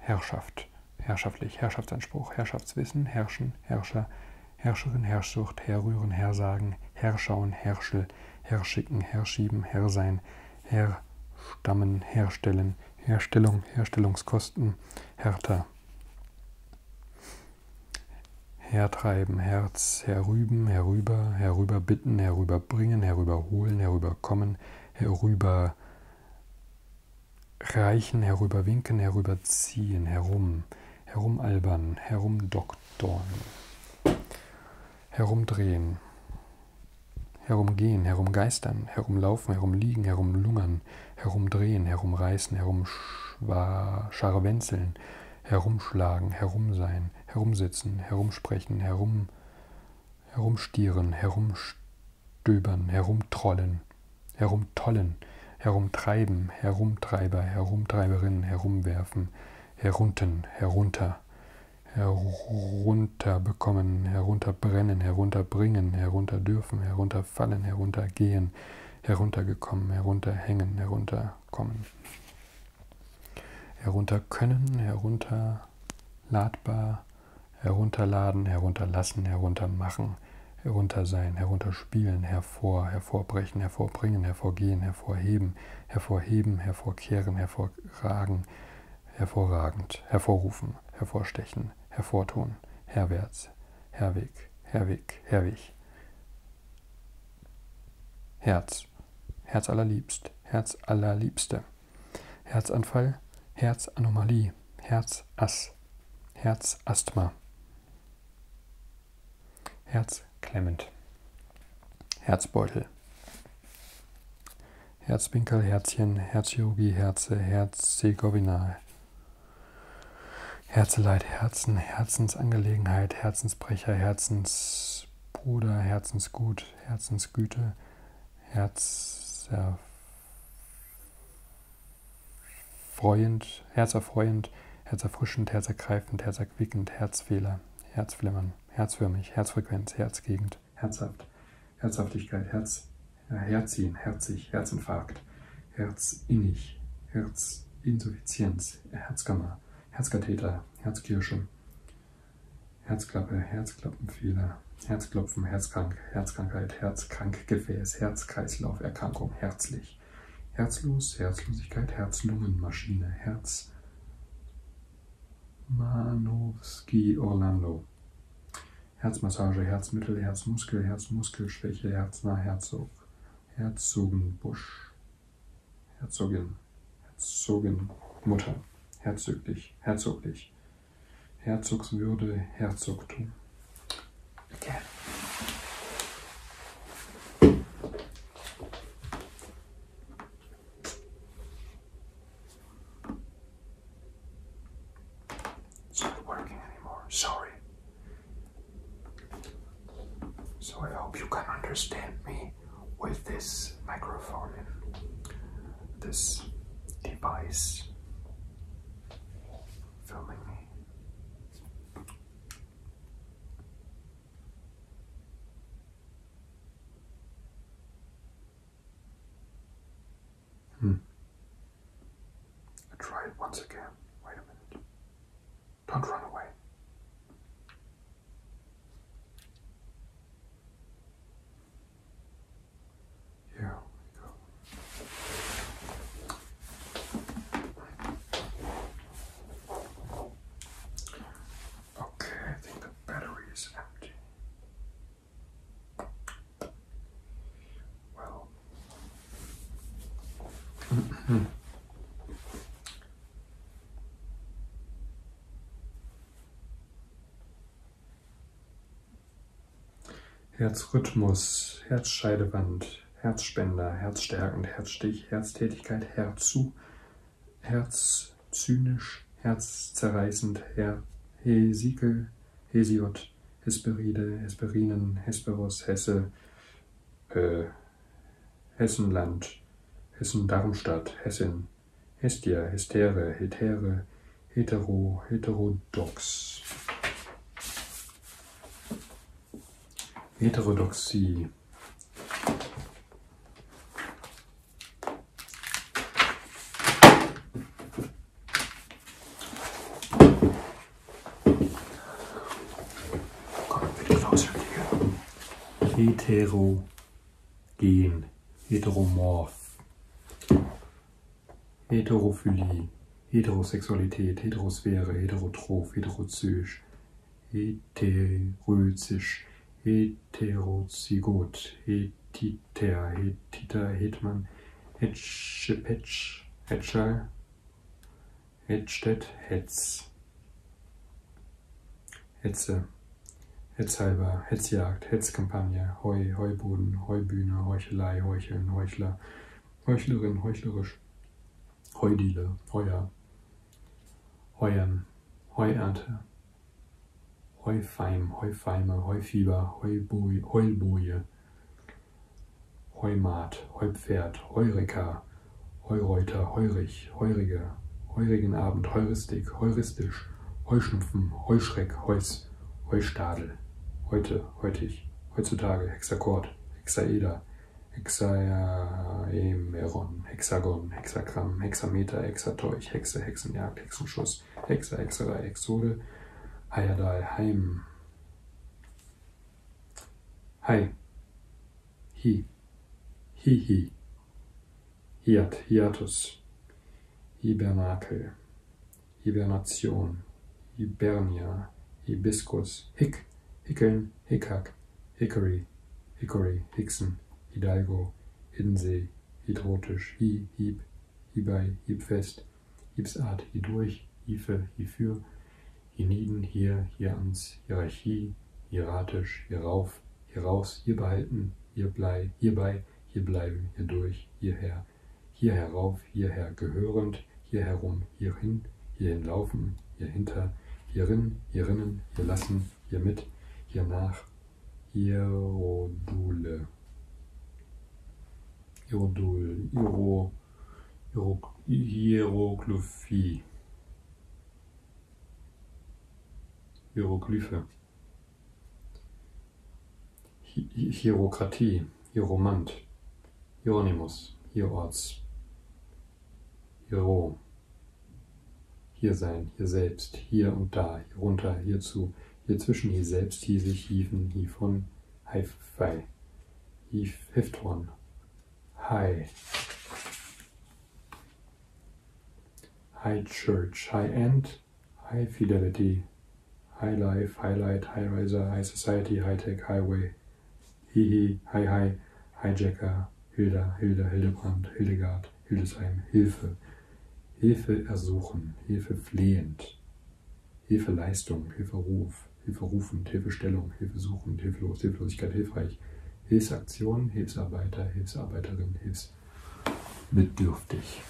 Herrschaft, herrschaftlich, Herrschaftsanspruch, Herrschaftswissen, Herrschen, Herrscher, Herrscherin, Herrschsucht, Herrrühren, Herrsagen, Herrschauen, Herrschel, Herrschicken, Herrschieben, Herrsein, Herrstammen, Herstellen, Herstellung, Herstellungskosten, Härter. Hertreiben, Herz, herrüben, herüber, herüberbitten, herüberbringen, herüberholen, herüberkommen, herüber reichen, herüberwinken, herüberziehen, herum, herumalbern, herumdoktorn, herumdrehen, herumgehen, herumgeistern, herumlaufen, herumliegen, herumlungern, herumdrehen, herumreißen, herumscharwenzeln, herumschlagen, herumsein, herumsitzen, herumsprechen, herum, herumstieren, herumstöbern, herumtrollen, herumtollen, herumtreiben, herumtreiber, herumtreiberin, herumwerfen, herunten, herunter, herunterbekommen, herunterbrennen, herunterbringen, herunterdürfen, herunter herunterfallen, heruntergehen, heruntergekommen, herunterhängen, herunterkommen. Herunterkönnen, herunterladbar, herunterladen, herunterlassen, heruntermachen, heruntersein, herunterspielen, hervor, hervorbrechen, hervorbringen, hervorgehen, hervorheben, hervorheben, hervorkehren, hervorragen, hervorragend, hervorrufen, hervorstechen, hervortun, herwärts, Herwig, Herwig, Herwig. Herz, Herz allerliebst, Herz allerliebste. Herzanfall, Herzanomalie, Herzass, Herzasthma. Herzklemmend, Herzbeutel. Herzwinkel, Herzchen, Herzchirurgie, Herze, Herzsegowina, Herzeleid, Herzen, Herzensangelegenheit, Herzensbrecher, Herzensbruder, Herzensgut, Herzensgüte, Herzerfreuend, Herzerfreuend, Herzerfrischend, Herzergreifend, Herzerquickend, Herzfehler, Herzflimmern, Herzförmig, Herzfrequenz, Herzgegend, Herzhaft, Herzhaftigkeit, Herz. Ja, Herziehen, herzig, Herzinfarkt, Herzinnig, Herzinsuffizienz, Herzkammer, Herzkatheter, Herzkirsche, Herzklappe, Herzklappenfehler, Herzklopfen, Herzkrank, Herzkrankheit, Herzkrankgefäß, Herzkreislauferkrankung, herzlich, Herzlos, Herzlosigkeit, Herzlungenmaschine, Herz Manowski Orlando. Herzmassage, Herzmittel, Herzmuskel, Herzmuskelschwäche, Herznah, Herzog, Herzogenbusch, Herzogin, Herzogin, Mutter, herzoglich, herzoglich, Herzogswürde, Herzogtum. Okay. It's not working anymore. Sorry. So I hope you can understand me with this microphone and this device filming me. Hmm. Try it once again. Wait a minute. Don't run away. Here we go. Okay, I think the battery is empty. Well, Herzrhythmus, Herzscheidewand, Herzspender, Herzstärkend, Herzstich, Herztätigkeit, Herzu, Herzzynisch, Herzzerreißend, Her Hesikel, Hesiod, Hespert, Hesperide, Hesperinen, Hesperus, Hesse, äh, Hessenland, Hessen-Darmstadt, Hessin, Hestia, Hestere, Hetere, Hetero, Heterodox. Heterodoxie. Komm, bitte Klaus, Heterogen, heteromorph, Heterophilie, Heterosexualität, Heterosphäre, Heterotroph, Heterozysch, Heterözisch, Heterozygot, Hetiter, Hetiter, Hetman, Hetschepetsch, Hetschal, Hedstedt, Hetz. Hetze. Hetzhalber, Hetzjagd, Hetzkampagne, Heu, Heuboden, Heubühne, Heuchelei, Heucheln, Heuchler, Heuchlerin, Heuchlerisch, Heudiele, Heuer, Heuern, Heuernte, Heufeim, Heufeime, Heufieber, Heulboje, Heumat, Heupferd, Heureka, Heureuter, Heurich, Heurige, Heurigenabend, Heuristik, Heuristisch, Heuschnupfen, Heuschreck, Heus, Heustadel, Heute, Heutig, Heutzutage, Hexakord, Hexaeder, Hexaemeron, Hexagon, Hexagramm, Hexameter, Hexateuch, Hexe, Hexenjagd, Hexenschuss, Hexer, Hexerei, Exode, Heyerdahl, Heim, Hi. Hi. Hihi. Hiat, hiatus. Hibernakel. Hibernation. Hibernia. Hibiskus. Hick. Hickeln. Hickhack. Hickory. Hickory. Hicksen. Hidalgo. Hiddensee. Hydrotisch. Hi. Hieb. Hierbei. Hiebfest. Gipsart, hierdurch, hiefe, hiefür, hienieden, hier, hierans, Hierarchie, hieratisch, hierauf, hieraus, hier behalten, hierblei, hierbei, hier bleiben, hierdurch, hierher, hier herauf, hierher gehörend, hier herum, hierhin, hierhin laufen, hierhinter, hierin, hierinnen, hier lassen, hier mit, hiernach, hierodule. Irodul, Iro, Hieroglyphie. Hieroglyphe. Hi Hierokratie. Hieromant. Hieronymus. Hierorts. Hiero. Hier sein, hier selbst, hier und da, hier runter, hierzu, hier zwischen, hier selbst, hier sich, hieven, hievon, hi, fei the fifth one. High. High church, high end, high fidelity, high life, high light, high riser, high society, high tech, highway, hee hee, high high, hijacker, Hilda, Hilda, Hildebrand, Hildegard, Hildesheim, Hilfe, Hilfe ersuchen, Hilfe flehend, Hilfeleistung, Hilferuf, Hilferufend, Hilfestellung, Hilfesuchend, Hilfelos, Hilflosigkeit, Hilfreich, Hilfsaktion, Hilfsarbeiter, Hilfsarbeiterin, Hilfsbedürftig.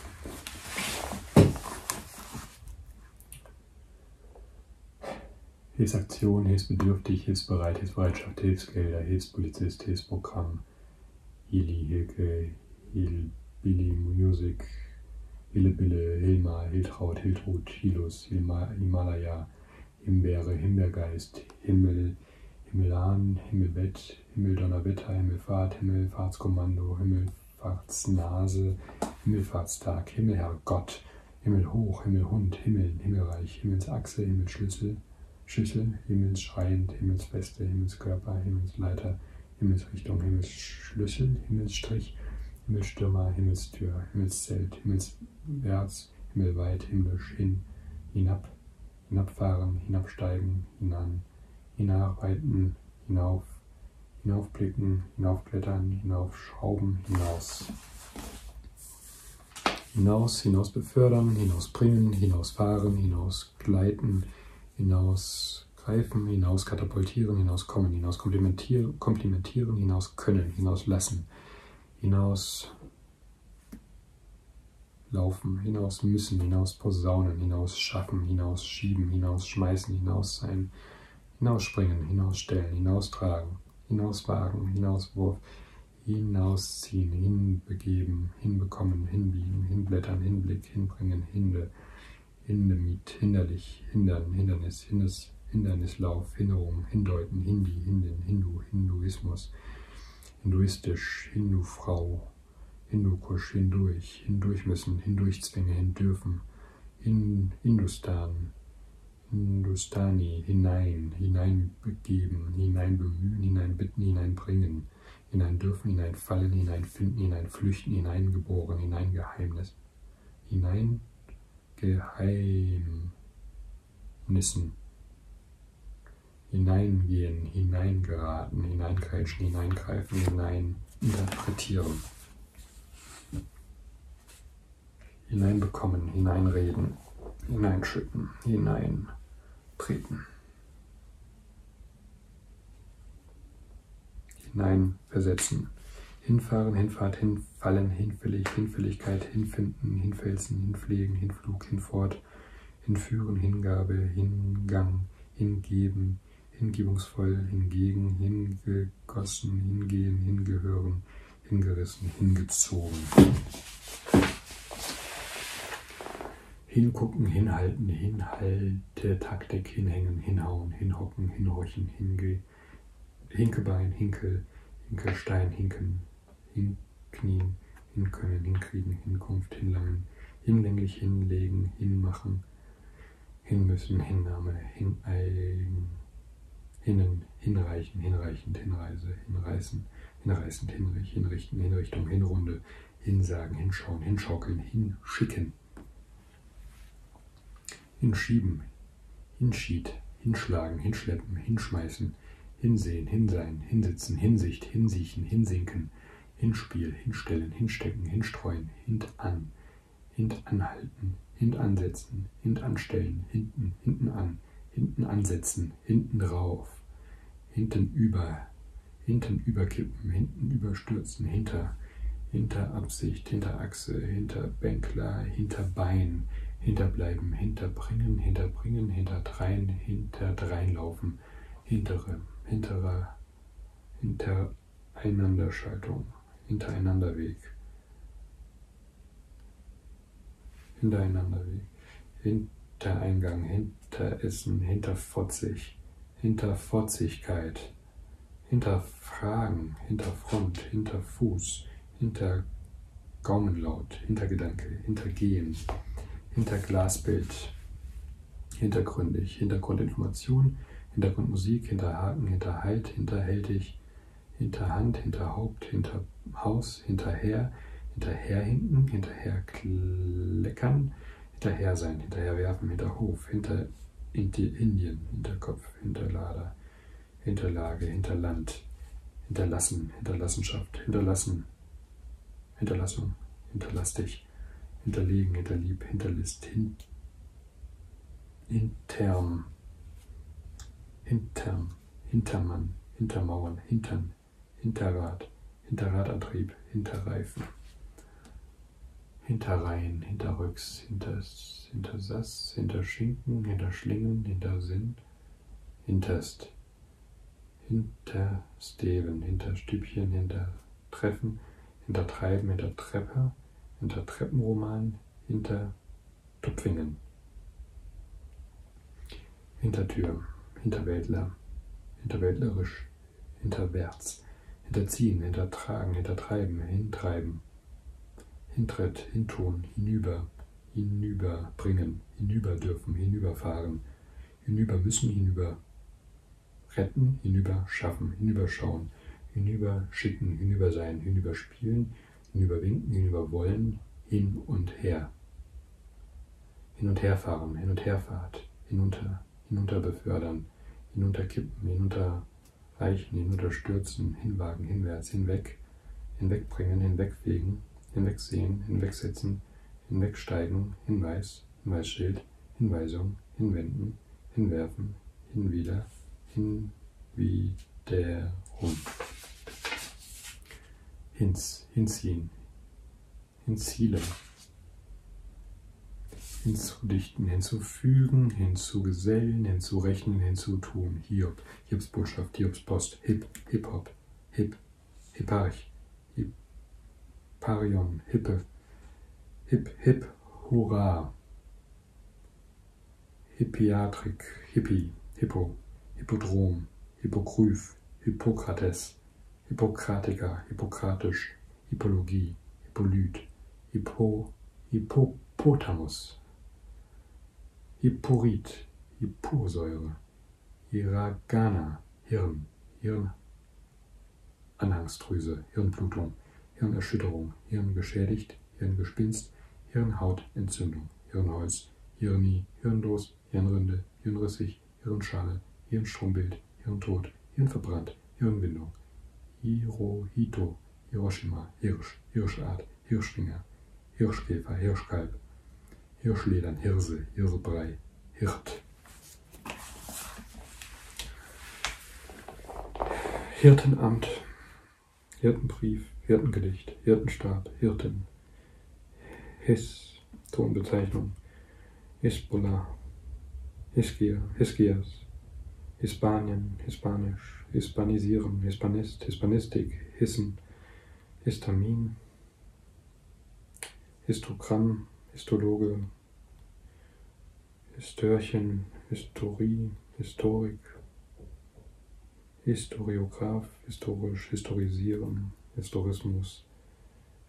Hilfsaktion, Hilfsbedürftig, Hilfsbereit, Hilfsbereitschaft, Hilfsgelder, Hilfspolizist, Hilfsprogramm, Hili, Hilke, Hilbili, Music, Hillebille, Hilma, Hiltraut, Hiltrud, Hilus, Himalaya, Himbeere, Himbeergeist, Himmel, Himmelan, Himmelbett, Himmeldonnerwetter, Himmelfahrt, Himmelfahrtskommando, Himmelfahrtsnase, Himmelfahrtstag, Himmelherrgott, Himmelhoch, Himmelhund, Himmel, Himmelreich, Himmelsachse, Himmelsschlüssel, Schüssel, Himmelsschreiend, Himmelsfeste, Himmelskörper, Himmelsleiter, Himmelsrichtung, Himmelsschlüssel, Himmelsstrich, Himmelstürmer, Himmelstür, Himmelszelt, Himmelswärts, Himmelweit, Himmlisch, hin, hinab, hinabfahren, hinabsteigen, hinan, hinarbeiten, hinauf, hinaufblicken, hinaufklettern, hinaufschrauben, hinaus. Hinaus, hinaus befördern, hinausbringen, hinausfahren, hinausgleiten, hinausgreifen, hinauskatapultieren, hinauskommen, hinauskomplimentieren, Komplimentieren hinaus können, hinauslassen, hinauslaufen, hinaus müssen, hinaus posaunen, hinaus schaffen, hinaus schieben, hinaus schmeißen, hinaus sein, hinausspringen, hinausstellen, hinaustragen, hinauswagen, hinauswurf, hinausziehen, hinbegeben, hinbekommen, hinbiegen, hinblättern, hinblick, hinbringen, hinde, hindemiet, hinderlich, hindern, hindernis. Hindernis, Hindernis, Hindernislauf, Hinderung, Hindeuten, Hindi, Hindin, Hindu, Hinduismus, Hinduistisch, Hindufrau, Hindukusch, Hindurch, Hindurch müssen, Hindurchzwänge, Hindürfen, hin, Hindustan, Hindustani, hinein, hineinbegeben, hineinbemühen, hineinbitten, hineinbringen, hineindürfen, hineinfallen, hineinfinden, hineinflüchten, hineingeboren, hineingeheimnis, hinein Geheimnissen hineingehen, hineingeraten, hineingreifen, hineingreifen, hineininterpretieren, hineinbekommen, hineinreden, hineinschütten, hineintreten, hineinversetzen, hinfahren, hinfahrt, hin, hinfallen, hinfällig, Hinfälligkeit, hinfinden, hinfelsen, hinpflegen, hinflug, hinfort, hinführen, Hingabe, Hingang, hingeben, hingebungsvoll, hingegen, hingegossen, hingehen, hingehören, hingerissen, hingezogen. Hingucken, hinhalten, hinhalte, Taktik, hinhängen, hinhauen, hinhocken, hinhorchen, hinge, Hinkebein, Hinkel, Hinkelstein, Hinken, Hinknien, Hinkönnen, Hinkriegen, Hinkunft, Hinlangen, Hinlänglich, Hinlegen, Hinmachen, Hinmüssen, Hinnahme, Hineigen, Hinnen, Hinreichen, Hinreichend, Hinreise, Hinreißen, Hinreißend, Hinrich, Hinrichten, Hinrichtung, Hinrunde, Hinsagen, Hinschauen, Hinschaukeln, Hinschicken. Hinschieben, hinschied, hinschlagen, hinschleppen, hinschmeißen, hinsehen, hinsein, hinsitzen, hinsicht, hinsiechen, hinsinken, hinspiel, hinstellen, hinstecken, hinstreuen, hintan, hintanhalten, hintansetzen, hintanstellen, hinten, hinten an, hinten ansetzen, hinten drauf, hinten über, hinten überkippen, hinten überstürzen, hinter, hinter Absicht, hinter Hinterachse, Hinterbänkler, Hinterbein, Hinterbleiben, Hinterbringen, Hinterbringen, Hinterdrein, Hinterdreinlaufen, Hintere, Hinterer, Hintereinanderschaltung, Hintereinanderweg, Hintereinanderweg, Hintereingang, Hinteressen, Hinterfotzig, Hinterfotzigkeit, Hinterfragen, Hinterfront, Hinterfuß, hinter Gaumenlaut, Hintergedanke, Hintergehen, hinter Glasbild, hintergründig, Hintergrundinformation, Hintergrundmusik, hinter Haken, hinter Halt, hinterhältig, hinterhand, hinter Haupt, hinter Haus, hinterher, hinterherhinken, hinterherkleckern, hinterher sein, hinterherwerfen, hinter Hof, hinter Indien, Hinterkopf, Hinterlader, Hinterlage, Hinterland, Hinterlassen, Hinterlassenschaft, Hinterlassen, Hinterlassung, Hinterlastig, Hinterlegen, Hinterlieb, Hinterlist, hin, Intern, Hintern, Hintermann, Hintermauern, Hintern, Hinterrad, Hinterradantrieb, Hinterreifen, Hinterreihen, Hinterrücks, Hinters, Saß, hinter Sass, hinter Schinken, hinter Schlingen, hinter Sinn, hinterst, hinter Steven, hinter Stübchen, hinter Treffen, hinter Treiben, hinter Treppe, hinter Treppenroman, hinter Tupfingen, Hintertür, Hinterwäldler, Hinterwäldlerisch, hinterwärts, hinterziehen, hintertragen, hintertreiben, hintreiben, hintritt, hintun, hinüber, hinüberbringen, hinüber dürfen, hinüberfahren, hinüber müssen, hinüber retten, hinüber schaffen, hinüberschauen, hinüber schicken, hinüber sein, hinüber spielen, hinüber winken, hinüber wollen, hin und her. Hin und herfahren, hin und herfahrt, hinunter, hinunter befördern, hinunterkippen, hinunter reichen, hinunterstürzen, hinwagen, hinwärts, hinweg, hinwegbringen, hinwegfegen, hinwegsehen, hinwegsetzen, hinwegsteigen, Hinweis, Hinweisschild, Hinweisung, hinwenden, hinwerfen, hinwieder, hinwiederum. Hinz, hinziehen, hinzielen, hinzudichten, hinzufügen, hinzugesellen, hinzurechnen, hinzutun, Hiob Jobs Botschaft, Jobs Post, Hip, Hip-Hop, Hip, Hipparch, Hipparion, Hippe, Hip, Hip, Hurra, Hippiatrik, Hippie, Hippo, Hippodrom, Hippogryph, Hippokrates, Hippokratiker, Hippokratisch, Hippologie, Hippolyt, Hippo, Hippopotamus, Hippurit, Hipposäure, Hiragana, Hirn, Hirn, Anhangsdrüse, Hirnblutung, Hirnerschütterung, Hirn geschädigt, Hirngespinst, Hirnhautentzündung, Hirnholz, Hirni, Hirndos, Hirnrinde, Hirnrissig, Hirnschale, Hirnstrombild, Hirntod, Hirnverbrannt, Hirnwindung, Hirohito, Hiroshima, Hirsch, Hirschart, Hirschfinger, Hirschkäfer, Hirschkalb, Hirschledern, Hirse, Hirsebrei, Hirt. Hirtenamt, Hirtenbrief, Hirtengedicht, Hirtenstab, Hirten, His, Tonbezeichnung, Hisbollah, Hiskia, Hiskias, Hispanien, Hispanisch, Hispanisieren, Hispanist, Hispanistik, Hissen, Histamin, Histamin, Histogramm, Histologe, Histörchen, Historie, Historik, Historiograph, historisch, historisieren, Historismus,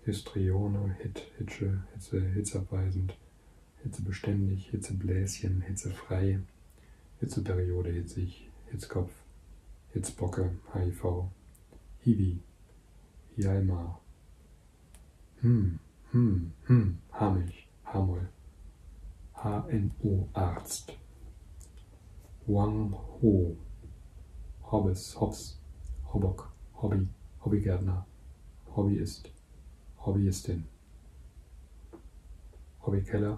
Histrione, Hit, Hitsche, Hitze, hitzeabweisend, Hitzebeständig, Hitzebläschen, Hitzefrei, Hitzewellen, Hitzeperiode, Hitzig, Hitzkopf, Hitzbocke, HIV, Hiwi, Hjalmar, Hm, Hm, Hm, Hamilch, Hamol, HNO-Arzt, Wang Ho, Hobbes, Hobbs, Hobbock, Hobby, Hobbygärtner, Hobbyist, Hobbyistin, Hobbykeller,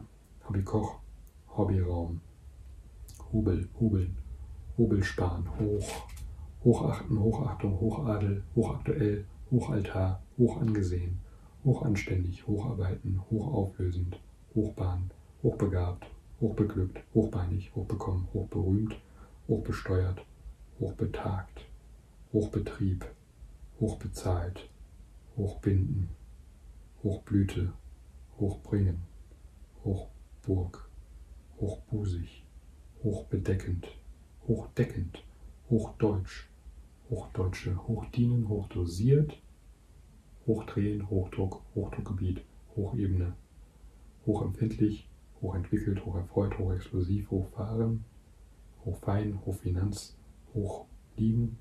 Hobbykoch, Hobbyraum, Hubel, Hubeln, Hubelspan, Hoch, Hochachten, Hochachtung, Hochadel, Hochaktuell, Hochaltar, Hochangesehen, Hochanständig, Hocharbeiten, Hochauflösend, Hochbahn, Hochbegabt, Hochbeglückt, Hochbeinig, Hochbekommen, Hochberühmt, Hochbesteuert, Hochbetagt, Hochbetrieb, Hochbezahlt, Hochbinden, Hochblüte, hochbringen, Hochburg, hochbusig, hochbedeckend, hochdeckend, hochdeutsch, hochdeutsche, hochdienen, hochdosiert, hochdrehen, Hochdruck, Hochdruckgebiet, Hochebene, hochempfindlich, hochentwickelt, hocherfreut, hochexplosiv, hochfahren, hochfein, hochfinanz, hoch Liegen,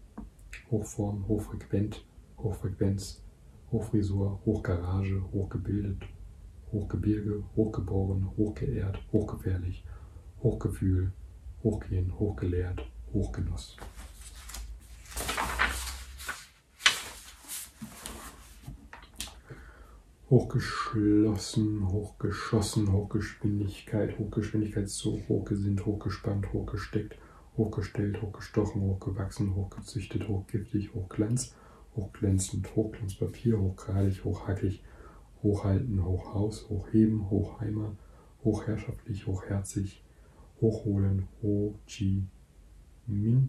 Hochform, Hochfrequent, Hochfrequenz, Hochfrisur, Hochgarage, Hochgebildet, Hochgebirge, Hochgeboren, Hochgeehrt, Hochgefährlich, Hochgefühl, Hochgehen, Hochgelehrt, Hochgenuss. Hochgeschlossen, hochgeschossen, Hochgeschwindigkeit, Hochgeschwindigkeitszug, hochgesinnt, hochgespannt, hochgesteckt, hochgestellt, hochgestochen, hochgewachsen, hochgezüchtet, hochgiftig, hochglanz, hochglänzend, Hochglanzpapier, hochgradig, hochhackig, hochhalten, hochhaus, hochheben, hochheimer, hochherrschaftlich, hochherzig, hochholen, Ho Chi Minh,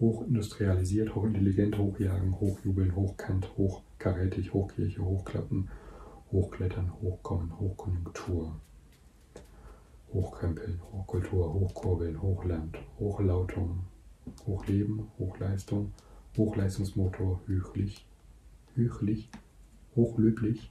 hochindustrialisiert, hochintelligent, hochjagen, hochjubeln, hochkant, hochkarätig, hochkirche, hochklappen, Hochklettern, Hochkommen, Hochkonjunktur, Hochkrempeln, Hochkultur, Hochkurbeln, Hochland, Hochlautung, Hochleben, Hochleistung, Hochleistungsmotor, Hüchlich, Hüchlich, Hochlöblich,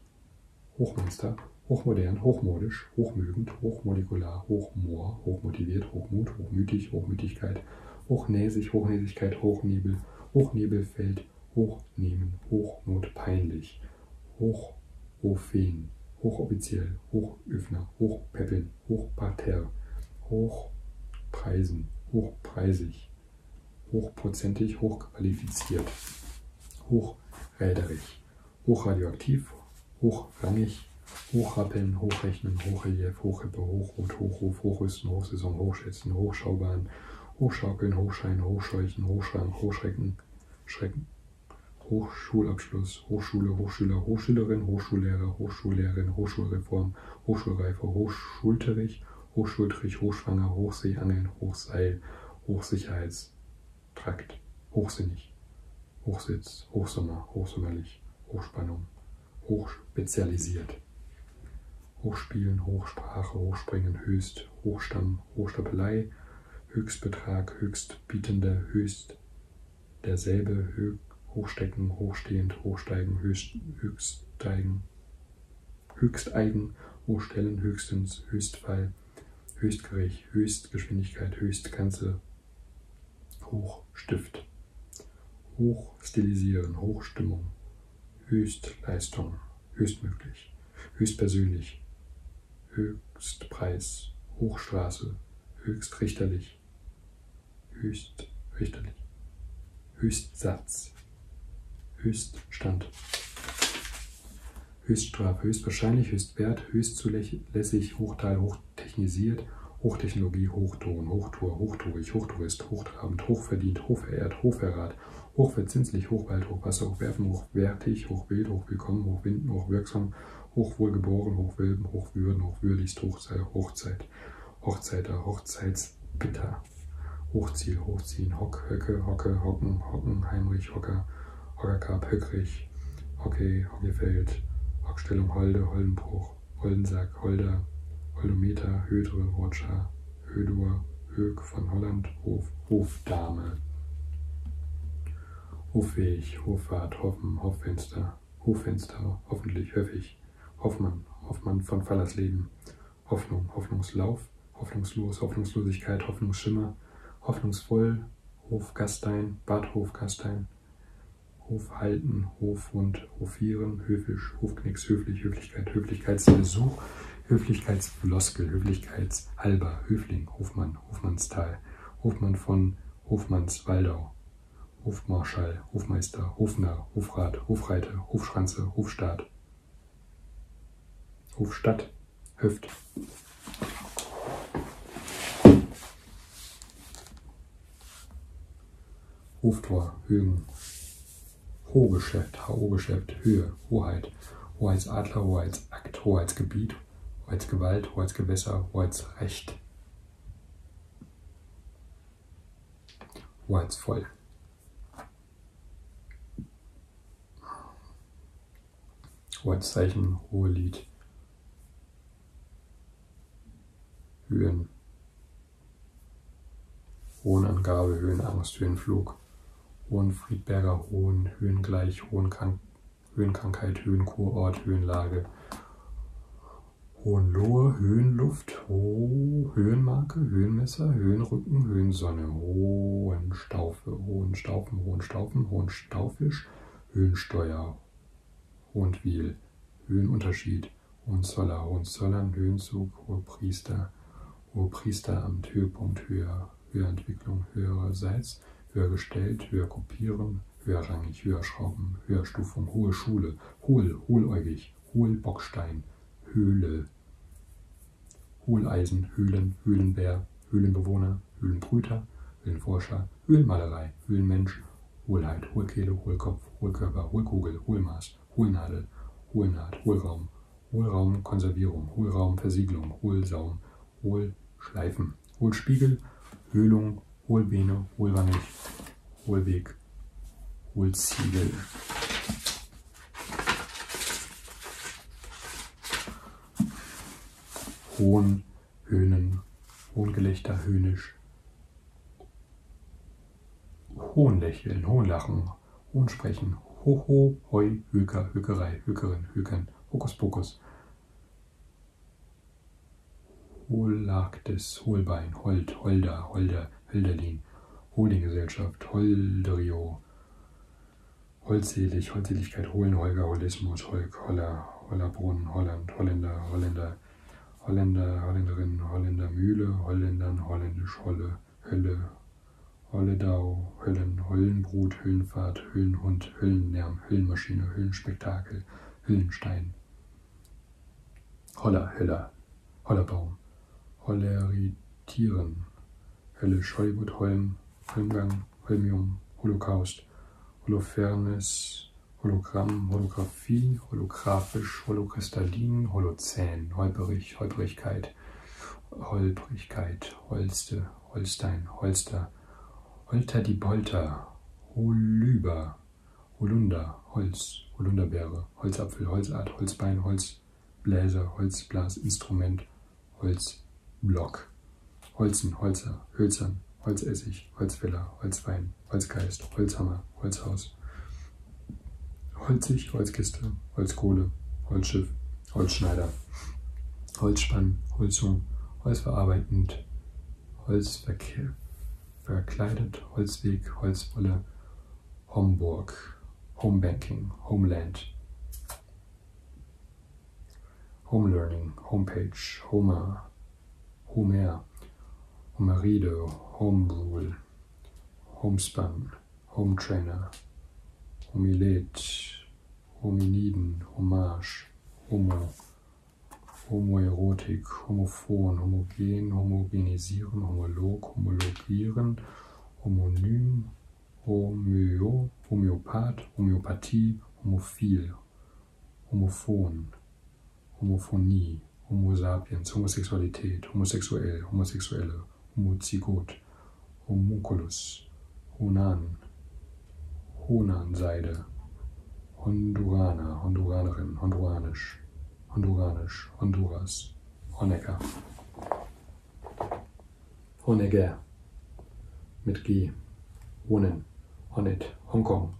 Hochmonster, Hochmodern, Hochmodisch, Hochmögend, Hochmolekular, Hochmoor, Hochmotiviert, Hochmut, Hochmütig, Hochmütigkeit, Hochnäsig, Hochnäsigkeit, Hochnebel, Hochnebelfeld, sind hochnehmen, Hochnot, peinlich, hochofen, hochoffiziell, hochöffner, hochpäppeln, hochparterre, hochpreisen, hochpreisig, hochprozentig, hochqualifiziert, hochräderig, hochradioaktiv, hochrangig, hochrappeln, hochrechnen, hochrelief, hochhippe, hochrot, hochruf, hochrüsten, hochsaison, hochschätzen, hochschaubahn, Hochschaukeln, Hochschein, Hochscheuchen, Hochschreiben, Hochschrecken, Schrecken. Hochschulabschluss, Hochschule, Hochschüler, Hochschülerin, Hochschullehrer, Hochschullehrerin, Hochschulreform, Hochschulreife, Hochschulterich, Hochschultrich, Hochschwanger, Hochseeangeln, Hochseil, Hochsicherheitstrakt, Hochsinnig, Hochsitz, Hochsommer, Hochsommerlich, Hochspannung, Hochspezialisiert. Hochspielen, Hochsprache, Hochspringen, Höchst, Hochstamm, Hochstapelei, Höchstbetrag, Höchstbietende, Höchst, derselbe, Hö Hochstecken, Hochstehend, Hochsteigen, Höchst, Höchststeigen, Höchsteigen, Hochstellen, Höchstens, Höchstfall, Höchstgericht, Höchstgeschwindigkeit, Höchstgrenze, Hochstift, Hochstilisieren, Hochstimmung, Höchstleistung, höchstmöglich, höchstpersönlich, Höchstpreis, Hochstraße, höchstrichterlich, höchstrichterlich, Höchstsatz, Höchststand, Höchststrafe, höchstwahrscheinlich, höchstwert, höchstzulässig, Hochteil, hochtechnisiert, Hochtechnologie, Hochton, Hochtour, hochtourig, hochtourist, hochtrabend, hochverdient, hochverehrt, hochverrat, hat. Hochverzinslich, Hochwald, Hochwasser, Hochwerfen, Hochwertig, Hochwild, Hochwillkommen, Hochwinden, Hochwirksam, Hochwohlgeboren, Hochwilben, Hochwürden, Hochwürdigst, Hochzeit, Hochzeit, Hochzeiter, Hochzeitsbitter, Hochziel, Hochziehen, Hock, Höcke, Hocke, Hocken, Hocken, Heimrich, Hocker, Hockerkap, Höckrich, Hockey, Hockeyfeld, Hockstellung, Holde, Holdenbruch, Holdensack, Holder, Holdometer, Hödre, Roger, Hödur, Hög von Holland, Hof, Hofdame. Hofweg, Hofwart, Hoffen, Hoffenster, Hoffenster, hoffentlich, höffig, Hoffmann, Hoffmann von Fallersleben, Hoffnung, Hoffnungslauf, Hoffnungslos, Hoffnungslosigkeit, Hoffnungsschimmer, Hoffnungsvoll, Hofgastein, Bad Hofgastein, Hofhalten, Hofhund, Hofieren, Höfisch, Hofknicks, Höflich, Höflich. Höflichkeit, Höflichkeitsversuch, Höflichkeitsfloskel, Höflichkeitsalber, Höfling, Hofmann, Hofmannsthal, Hofmann von Hofmannswaldau, Hofmarschall, Hofmeister, Hofner, Hofrat, Hofreiter, Hofschranze, Hofstaat, Hofstadt, Höft. Hoftor, Högen, Ho-Geschäft, HO-Geschäft, Höhe, Hoheit, Hoheitsadler, Hoheitsakt, Hoheitsgebiet, Hoheitsgewalt, Hoheitsgewässer, Hoheitsrecht, Hoheitsvoll. Hoheitszeichen, Hohelied, Höhen, Hohenangabe, Höhenangst, Höhenflug. Hohen Friedberger Hohen, Höhengleich, Hohenkan Höhenkrankheit, Höhenkurort, Höhenlage, Hohenlohe, Höhenluft, Ho Höhenmarke, Höhenmesser, Höhenrücken, Höhensonne, Hohenstaufe, Hohenstaufen, Hohenstaufen, Hohenstaufisch, Höhensteuer, Hohentwil, Höhenunterschied, Hohenzoller, Hohenzollern, Höhenzug, Hohepriester, Hohepriesteramt, Höhepunkt höher, Höherentwicklung, höhererseits, höher gestellt, höher kopieren, höherrangig, höher schrauben, Höherstufung, hohe Schule, hohl, hohläugig, hohlbockstein, Höhle, Hohleisen, Höhlen, Höhlenbär, Höhlenbewohner, Höhlenbrüter, Höhlenforscher, Höhlenmalerei, Höhlenmensch, Hohlheit, Hohlkehle, Hohlkopf, Hohlkörper, Hohlkugel, Hohlmaß, Hohlnadel, Hohlnaht, Hohlraum, Hohlraumkonservierung, Hohlraumversiegelung, Hohlsaum, Hohlschleifen, Hohlspiegel, Höhlung, Hohlbeene, Hohlwannig, Hohlweg, Hohlziegel. Hohn, Höhnen, Hohngelächter, Höhnisch, Hohnlächeln, Hohnlachen, Hoch, Hohn sprechen, Hoho, Hoi, Höker, Hökerei, Hökerin, Hökern, Hokuspokus. Hohlagdes, Hohlbein, Holt, Holder, Holder, Hölderlin, Holdinggesellschaft, Holderio, Holdselig, Holdseligkeit, Hohlen, Holger, Holismus, Holk, Holler, Hollerbrunn, Holland, Holländer, Holländer, Holländer, Holländerin, Holländermühle, Holländern, Holländisch, Holle, Hölle, Holledau, Höllen, Höllenbrut, Höhlenfahrt, Höhlenhund, Höhlenlärm, Höhlenmaschine, Höhlenspektakel, Höhlenstein. Holler, Höller, Hollerbaum, Holleritieren, Hölle, Schollibut, Holm, Holmgang, Holmium, Holocaust, Holofernes, Hologramm, Holographie, holographisch, holokristallin, holozän, holperig, holprigkeit, holprigkeit, holste, Holstein, Holster, Holter die Bolter, Holüber, Holunder, Holz, Holunderbeere, Holzapfel, Holzart, Holzbein, Holzbläser, Holzblasinstrument, Holzblock, Holzen, Holzer, Hölzern, Holzessig, Holzfäller, Holzwein, Holzgeist, Holzhammer, Holzhaus, Holzig, Holzkiste, Holzkohle, Holzschiff, Holzschneider. Holzspann, Holzung, Holzverarbeitend, Holzverkehr, verkleidet, Holzweg, Holzwolle, Homburg, Homebanking, Homeland, Homelearning, Homepage, Homer, Homer, Homeride, Homerule, Homespun, Hometrainer, Homilate, Hominiden, Hommage, Homo, Homoerotik, Homophon, Homogen, Homogenisieren, Homolog, Homologieren, Homonym, Homöo, Homöopath, Homöopathie, Homophil, Homophon, Homophonie, Homo sapiens, Homosexualität, Homosexuell, Homosexuelle, Muzigot, Homunculus, Honan, Honanseide, Honduraner, Honduranerin, Honduranisch, Honduranisch, Honduras, Honecker, Honegger, mit G, Honen, Honet, Hongkong,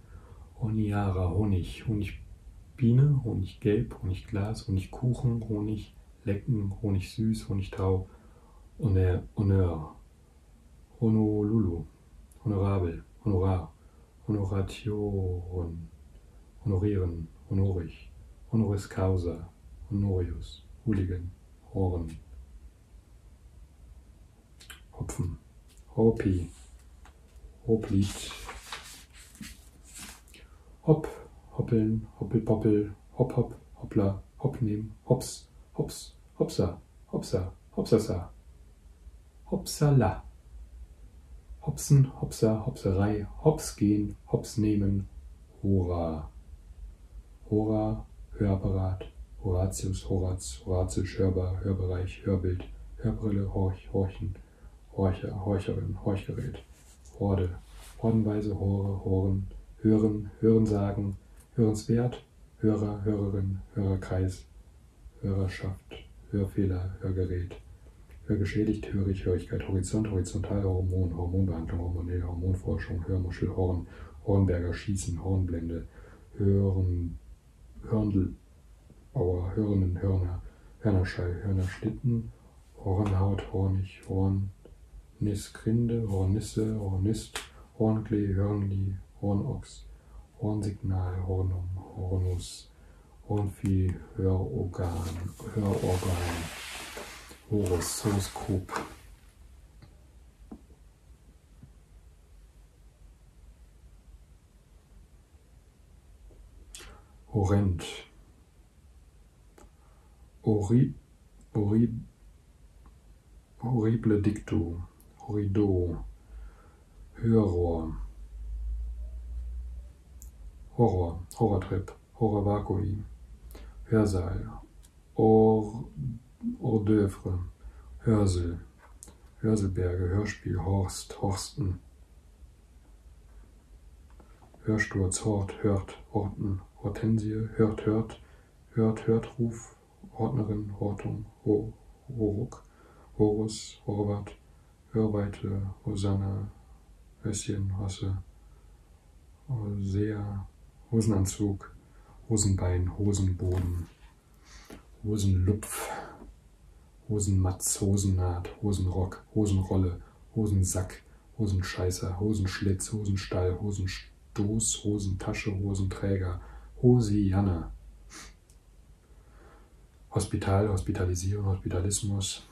Honiara, Honig, Honigbiene, Honiggelb, Honigglas, Honigkuchen, Honig, Lecken, Honig süß, Honigtau, Honneur, Honneur, Honolulu, Honorabel, Honorar, Honoration, Honorieren, Honorig, Honoris causa, Honorius, Hooligan, Horn, Hopfen, Hopi, Hoplied, Hopp, Hoppeln, Hoppelpoppel, Hopp, Hopp, Hoppla, Hopp nehmen. Hops, hops, hopsa, hopsa, hopsasa. Hopsala. Hopsen, hopsa, hopserei. Hops gehen, hops nehmen. Hurra. Hora, Hörapparat, Horatius, Horaz, Horatius, Hörbar, Hörbereich, Hörbild, Hörbrille, Horch, Horchen, Horcher, Horcherin, Horchgerät, Horde, Hordenweise, Hore, Horen, Hören, Hörensagen, Hörerinnen, Hörenswert, Hörer, Hörerin, Hörerkreis, Hörerschaft, Hörfehler, Hörgerät, Hörgeschädigt, Hörig, Hörigkeit, Horizont, Horizontal, Hormon, Hormonbehandlung, hormonelle Hormonforschung, Hörmuschel, Horn, Hornberger, Schießen, Hornblende, Hören, Hörndelbauer, Hörnen, Hörner, Hörnerschall, Hörnerschlitten, Hornhaut, Hornig, Horn, Niskrinde, Hornisse, Hornist, Hornklee, Hörnli, Hornochs, Hornsignal, Hornum, Hornus, Hornvieh, Hörorgan, Hörorgan, Horus, Horoskop. Horrend. Ori horrible, horrible dicto, horrido, Hörrohr, Horror, Horrortrip, Horror Vacui, Hörsaal, Or, Hors d'oeuvre, Hörsel, Hörselberge, Hörspiel, Horst, Horsten, Hörsturz, Hort, Hört, Horten, Hortensie, Hört, Hört, Hört, hört, Ruf, Ordnerin, Hortum, Ho, Horuk, Horus, Horbert, Hörweite, Hosanna, Höschen, Hosse, Hosea, Hosenanzug, Hosenbein, Hosenboden, Hosenlupf, Hosenmatz, Hosennaht, Hosenrock, Hosenrolle, Hosensack, Hosenscheißer, Hosenschlitz, Hosenstall, Hosenstoß, Hosentasche, Hosenträger, Hosianne. Hospital, Hospitalisierung, Hospitalismus,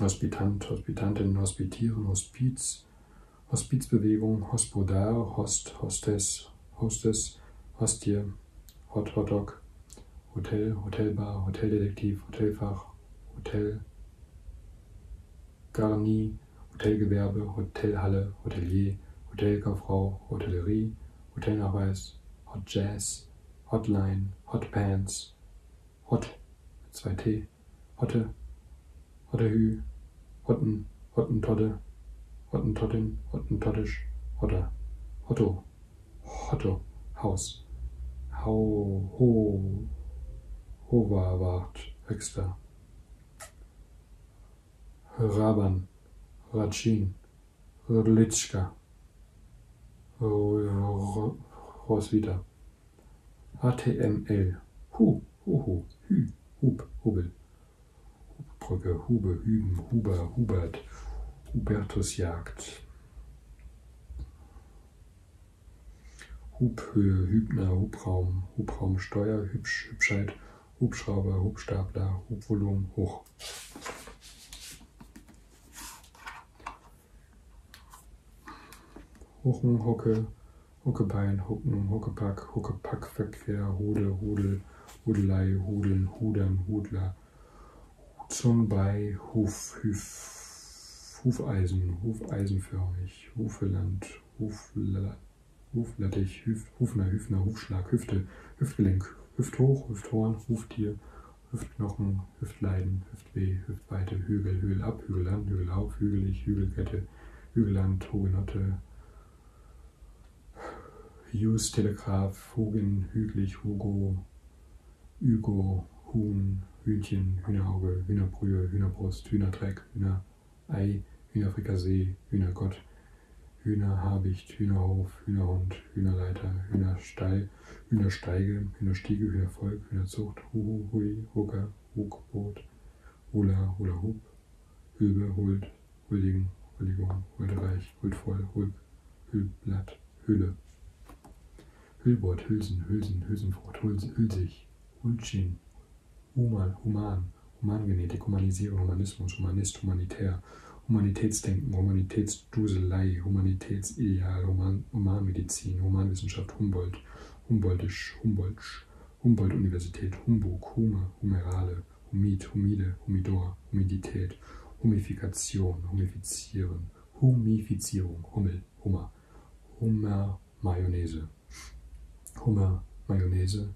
Hospitant, Hospitantin, Hospitieren, Hospiz, Hospizbewegung, Hospodar, Host, Hostess, Hostess, Hostie, Hot, Hotdog, Hotel, Hotelbar, Hoteldetektiv, Hotelfach, Hotel, Garnie, Hotelgewerbe, Hotelhalle, Hotelier, Hotelkauffrau, Hotellerie, Hotelnachweis, Hot Jazz, Hotline, Hot Pants, Hot, mit zwei T, Hotte, Hottehü, Hotten, Hottentodde, Hottentottin, Hottentottisch, Hotter, Otto, Hotto, Haus, Hau, Ho, Hoverwart, Höchster, Raban, Ratschin, Rlitschka, Roswitha, HTML, Hu, Huhu, Hü, Hub, Hubel, Hubbrücke, Hube, Hüben, Huber, Hubert, Hubertusjagd, Hubhöhe, Hübner, Hubraum, Hubraumsteuer, Hübsch, Hübschheit, Hubschrauber, Hubstapler, Hubvolumen, Hoch. Huchen, Hucke, Huckebein, Hucken, Huckepack, Huckepackverkehr, Hude, Hudel, Hudelei, Hudeln, Hudern, Hudler, zum bei Huf, Huf, Hufeisen, Hufeisenförmig, Hufeland, Hufler, Hufnertich, Hüf, Hufner, Hüfner, Hufschlag, Hüfte, Hüftgelenk, Hüfthoch, Hüfthorn, Huftier, Hüftknochen, Hüftleiden, Hüftweh, Hüftweite, Hügel, Hügel ab, Hügel an, Hügel auf, Hügelig, Hügelkette, Hügeland, Hugenotte, Hughes, Telegraph, Hogen, Hüglich, Hugo, Hugo, Huhn, Hühnchen, Hühnerauge, Hühnerbrühe, Hühnerbrust, Hühnerdreck, Hühner Ei, Hühnerfrikassee, Hühnergott, Hühnerhabicht, Hühnerhof, Hühnerhund, Hühnerleiter, Hühnerstall, Hühnersteige, Hühnerstiege, Hühnervolk, Hühnerzucht, Huhu, Hui, Hugger, Hugboot, Hula, Hula Hoop, Hülbe, Hult, Huldigen, Huldigung, Huldereich, Huldvoll, Hulb, Hülblatt, Hülle. Hüllbord, Hülsen, Hülsen, Hülsenfrucht, Hülsig, Hulchin, Human, Human, Humangenetik, Humanisierung, Humanismus, Humanist, Humanitär, Humanitätsdenken, Humanitätsduselei, Humanitätsideal, Human, Humanmedizin, Humanwissenschaft, Humboldt, Humboldtisch, Humboldtsch, Humboldt-Universität, Humbug, Hume, Humerale, Humid, Humide, Humidor, Humidität, Humifikation, Humifizieren, Humifizierung, Hummel, Hummer, Hummer, Mayonnaise. Hummer, Mayonnaise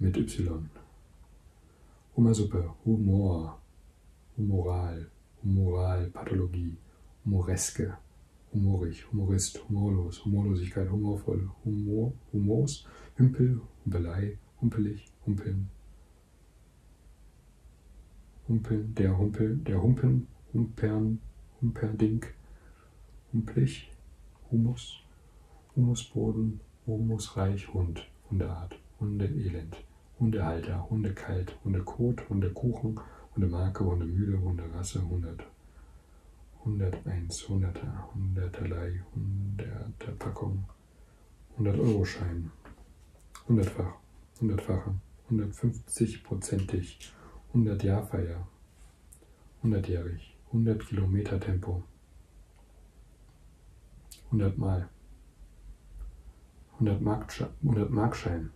mit Y. Hummersuppe, Humor, Humoral, Humoralpathologie, Humoreske, humorig, humorist, humorlos, Humorlosigkeit, humorvoll, Humor, Humors, Hümpel, Humpelei, Humpelig, Humpeln, Humpeln, der Humpel, der Humpen, Humpern, Humperdink, und Blech, Humus, Humusboden, Humusreich, Hund, Hundeart, Hundeelend, Hundehalter, Hundekalt, Hundekot, Hundekuchen, Hundemarke, Hundemühle, Hunderasse, Hundert, 101, 100er, 100erlei, 100er Packung, 100-Euro-Schein, 100-fach, 100-fache, 150-prozentig, 100-Jahrfeier, Hundertjährig, 100 Kilometer Tempo. 100 Mal. 100 Markschein, 100 Markschein.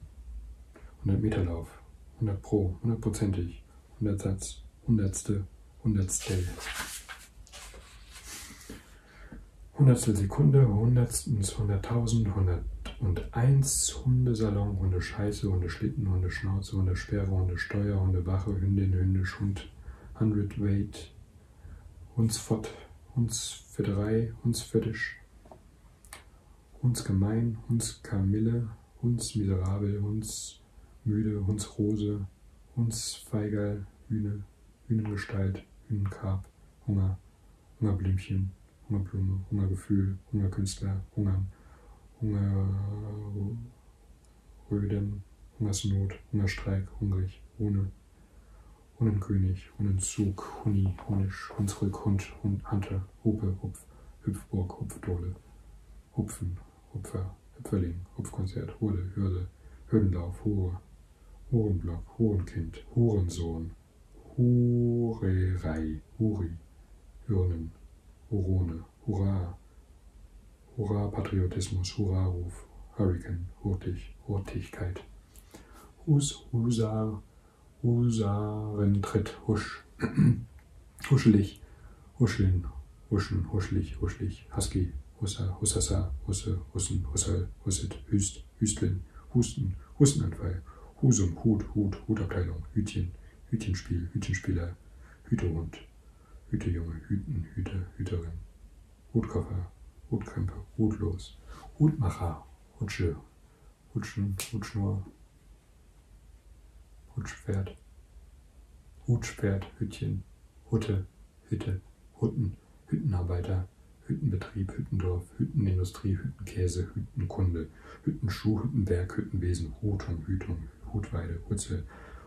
100 Meterlauf. 100 Pro, 100 prozentig. 100 Satz, Hundertste, Hundertstel. Hundertstel Sekunde, Hundertstens, Hunderttausend, Hundert und eins Hundesalon, Hunde Scheiße, Hunde Schlitten, Hunde Schnauze, Hunde Sperrhunde, Steuerhunde, Wache, Hündin, Hündisch, Hund, Hundredweight, Hundsfott, Hundsfitterei, Hundsfittisch, Hundsgemein, Hundskamille, Hundsmiserabel, Hundsmüde, Hundsrose, Hundsfeigerl, Hühne, Hühnengestalt, Hühnenkarb, Hunger, Hungerblümchen, Hungerblume, Hungergefühl, Hungerkünstler, Hunger, Hunger Rödem, Hungersnot, Hungerstreik, hungrig, ohne, Hunnenkönig, Hunnenzug, Huni, Hunisch, Hunsrück, Hund, Hund, Hunter, Hupe, Hupf, Hüpfburg, Hupfdole, Hupfen, Hupfer, Hüpferling, Hupfkonzert, Hurde, Hürde, Hürdenlauf, Hure, Hurenblock, Hurenkind, Hurensohn, Hurerei, Huri, Hürnen, Hurone, Hurra, Hurra Patriotismus, Hurra Ruf, Hurricane, Hurtig, Hurtigkeit. Hus, Husar, Husarentritt, Husch, Huschelig, Huscheln, Huschen, Huschlich, Huschlich, Husky, Hussa, Hussassa, Husse, Hussen, Hussel, Husset, Hüst, Hüstlin, Husten, Hustenanfall, Husum, Hut, Hut, Hutabteilung, Hütchen, Hütchenspiel, Hütchenspieler, Hütehund. Hütejunge, Hüten, Hüter, Hüterin, Hutkoffer, Hutkrempe, Hutlos, Hutmacher, Hutsche, Hutschen, Hutschnur, Hutschpferd, Hutschpferd, Hütchen, Hutte, Hütte, Hutten, Hüttenarbeiter, Hüttenbetrieb, Hüttendorf, Hüttenindustrie, Hüttenkäse, Hüttenkunde, Hüttenschuh, Hüttenwerk, Hüttenwesen, Hutung, Hütung, Hutweide, Hutzel,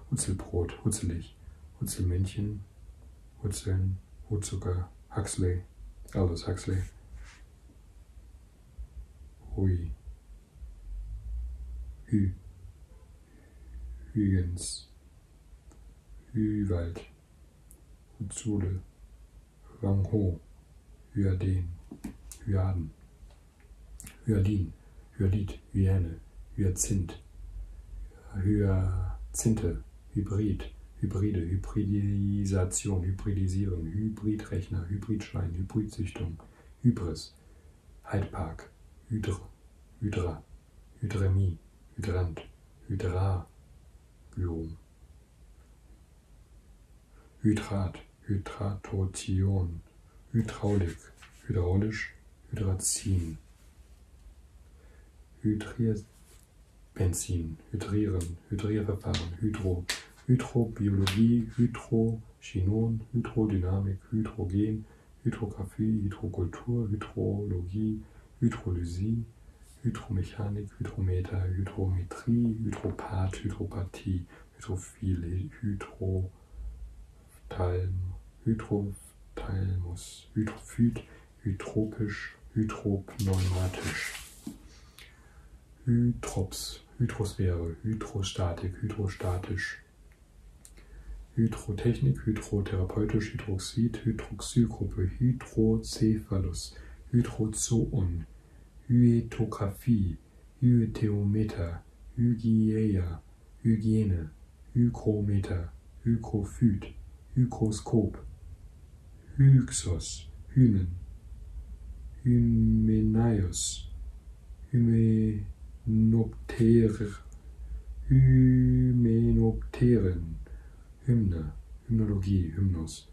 Hutzelbrot, Hutzelich, Hutzelmännchen, Hutzeln, Hutzucker, Huxley, Aldous Huxley. Hui. Hü. Hügens. Hüwald. Hutzule. Wang Ho. Hyaden. Hyaden. Hyalin, Hyalit, Hyäne, Hyazinth, Hyazinthe, Hybrid, Hybride, Hybridisation, Hybridisierung, Hybridrechner, Hybridschein, Hybridzüchtung, Hybris, Heidpark, Hydr, Hydra, Hydremie, Hydrant, Hydra, Gyrum, Hydrat, Hydratation, Hydraulik, hydraulisch, Hydrazin, Hydrier, Benzin, Hydrieren, Hydrierverfahren, Hydro, Hydrobiologie, Hydrochinon, Hydrodynamik, Hydrogen, Hydrographie, Hydrokultur, Hydrologie, Hydrolysie, Hydromechanik, Hydrometer, Hydrometrie, Hydropath, Hydropathie, Hydrophil, Hydro, Hydrophthalmus, Hydrophyt, Hydropisch, Hydropneumatisch. Hydrops, Hydrosphäre, Hydrostatik, Hydrostatisch. Hydrotechnik, Hydrotherapeutisch, Hydroxid, Hydroxygruppe, Hydrocephalus, Hydrozoon, Hyetographie, Hygiologie, Hytheometer, Hygieia, Hygiene, Hykrometer, Hykrophyt, Hygroskop, Hyxos, Hymen, Hymenaios, Hymenopterer, Hymenopteren, Hymne, Hymnologie, Hymnus,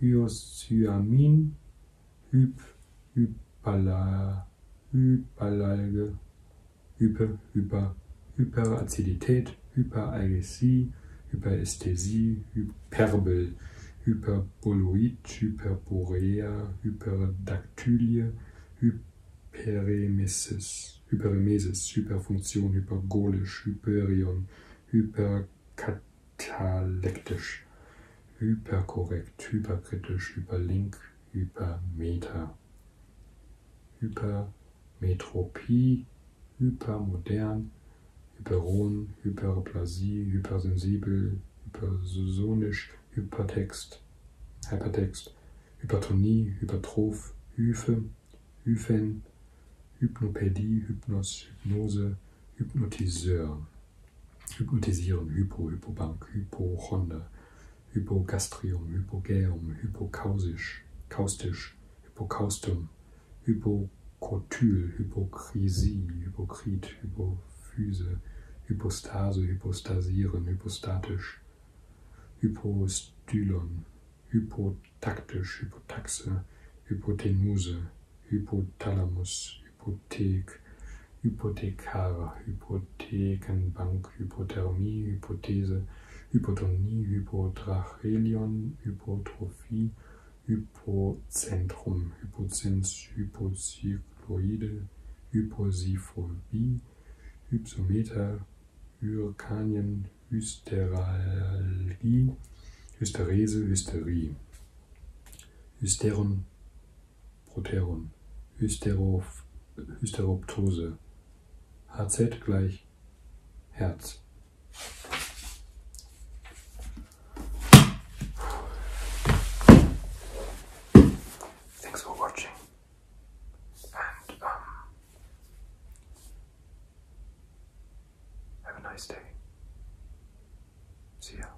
Hyoscyamin, Hyp, Hypala, Hyperalge, Hyper, Hyper, Hyperazidität, Hyperalgesie, Hyperästhesie, Hyperbel, Hyperboloid, Hyperborea, Hyperdaktylie, Hyperemesis, Hyperemesis, Hyperfunktion, Hypergolisch, Hyperion, Hyperkatalektisch, Hyperkorrekt, Hyperkritisch, Hyperlink, Hypermeter. Hypermetropie, hypermodern, hyperon, hyperplasie, hypersensibel, hypersonisch, hypertext, hypertext, hypertonie, hypertroph, hyphe, hyphen, Hypnopädie, Hypnos, Hypnose, Hypnotiseur. Hypnotisierung, Hypo, Hypobank, Hypochonde, Hypogastrium, Hypogäum, Hypokausisch, Kaustisch, Hypokaustum, Hypokotyl, Hypokrisie, Hypokrit, Hypophyse, Hypostase, Hypostasieren, Hypostatisch, Hypostylon, Hypotaktisch, Hypotaxe, Hypotenuse, Hypothalamus, Hypothek, Hypothekar, Hypothekenbank, Hypothermie, Hypothese, Hypotonie, Hypotrachelion, Hypotrophie, Hypozentrum, Hypozins, Hypocycloide, Hyposiphobie, Hypsometer, Hyrkanien, Hysteralgie, Hysterese, Hysterie, Hysteron, Proterum, Hysteroph Hysteroptose, HZ gleich Herz. Thanks for watching. And um, have a nice day. See ya.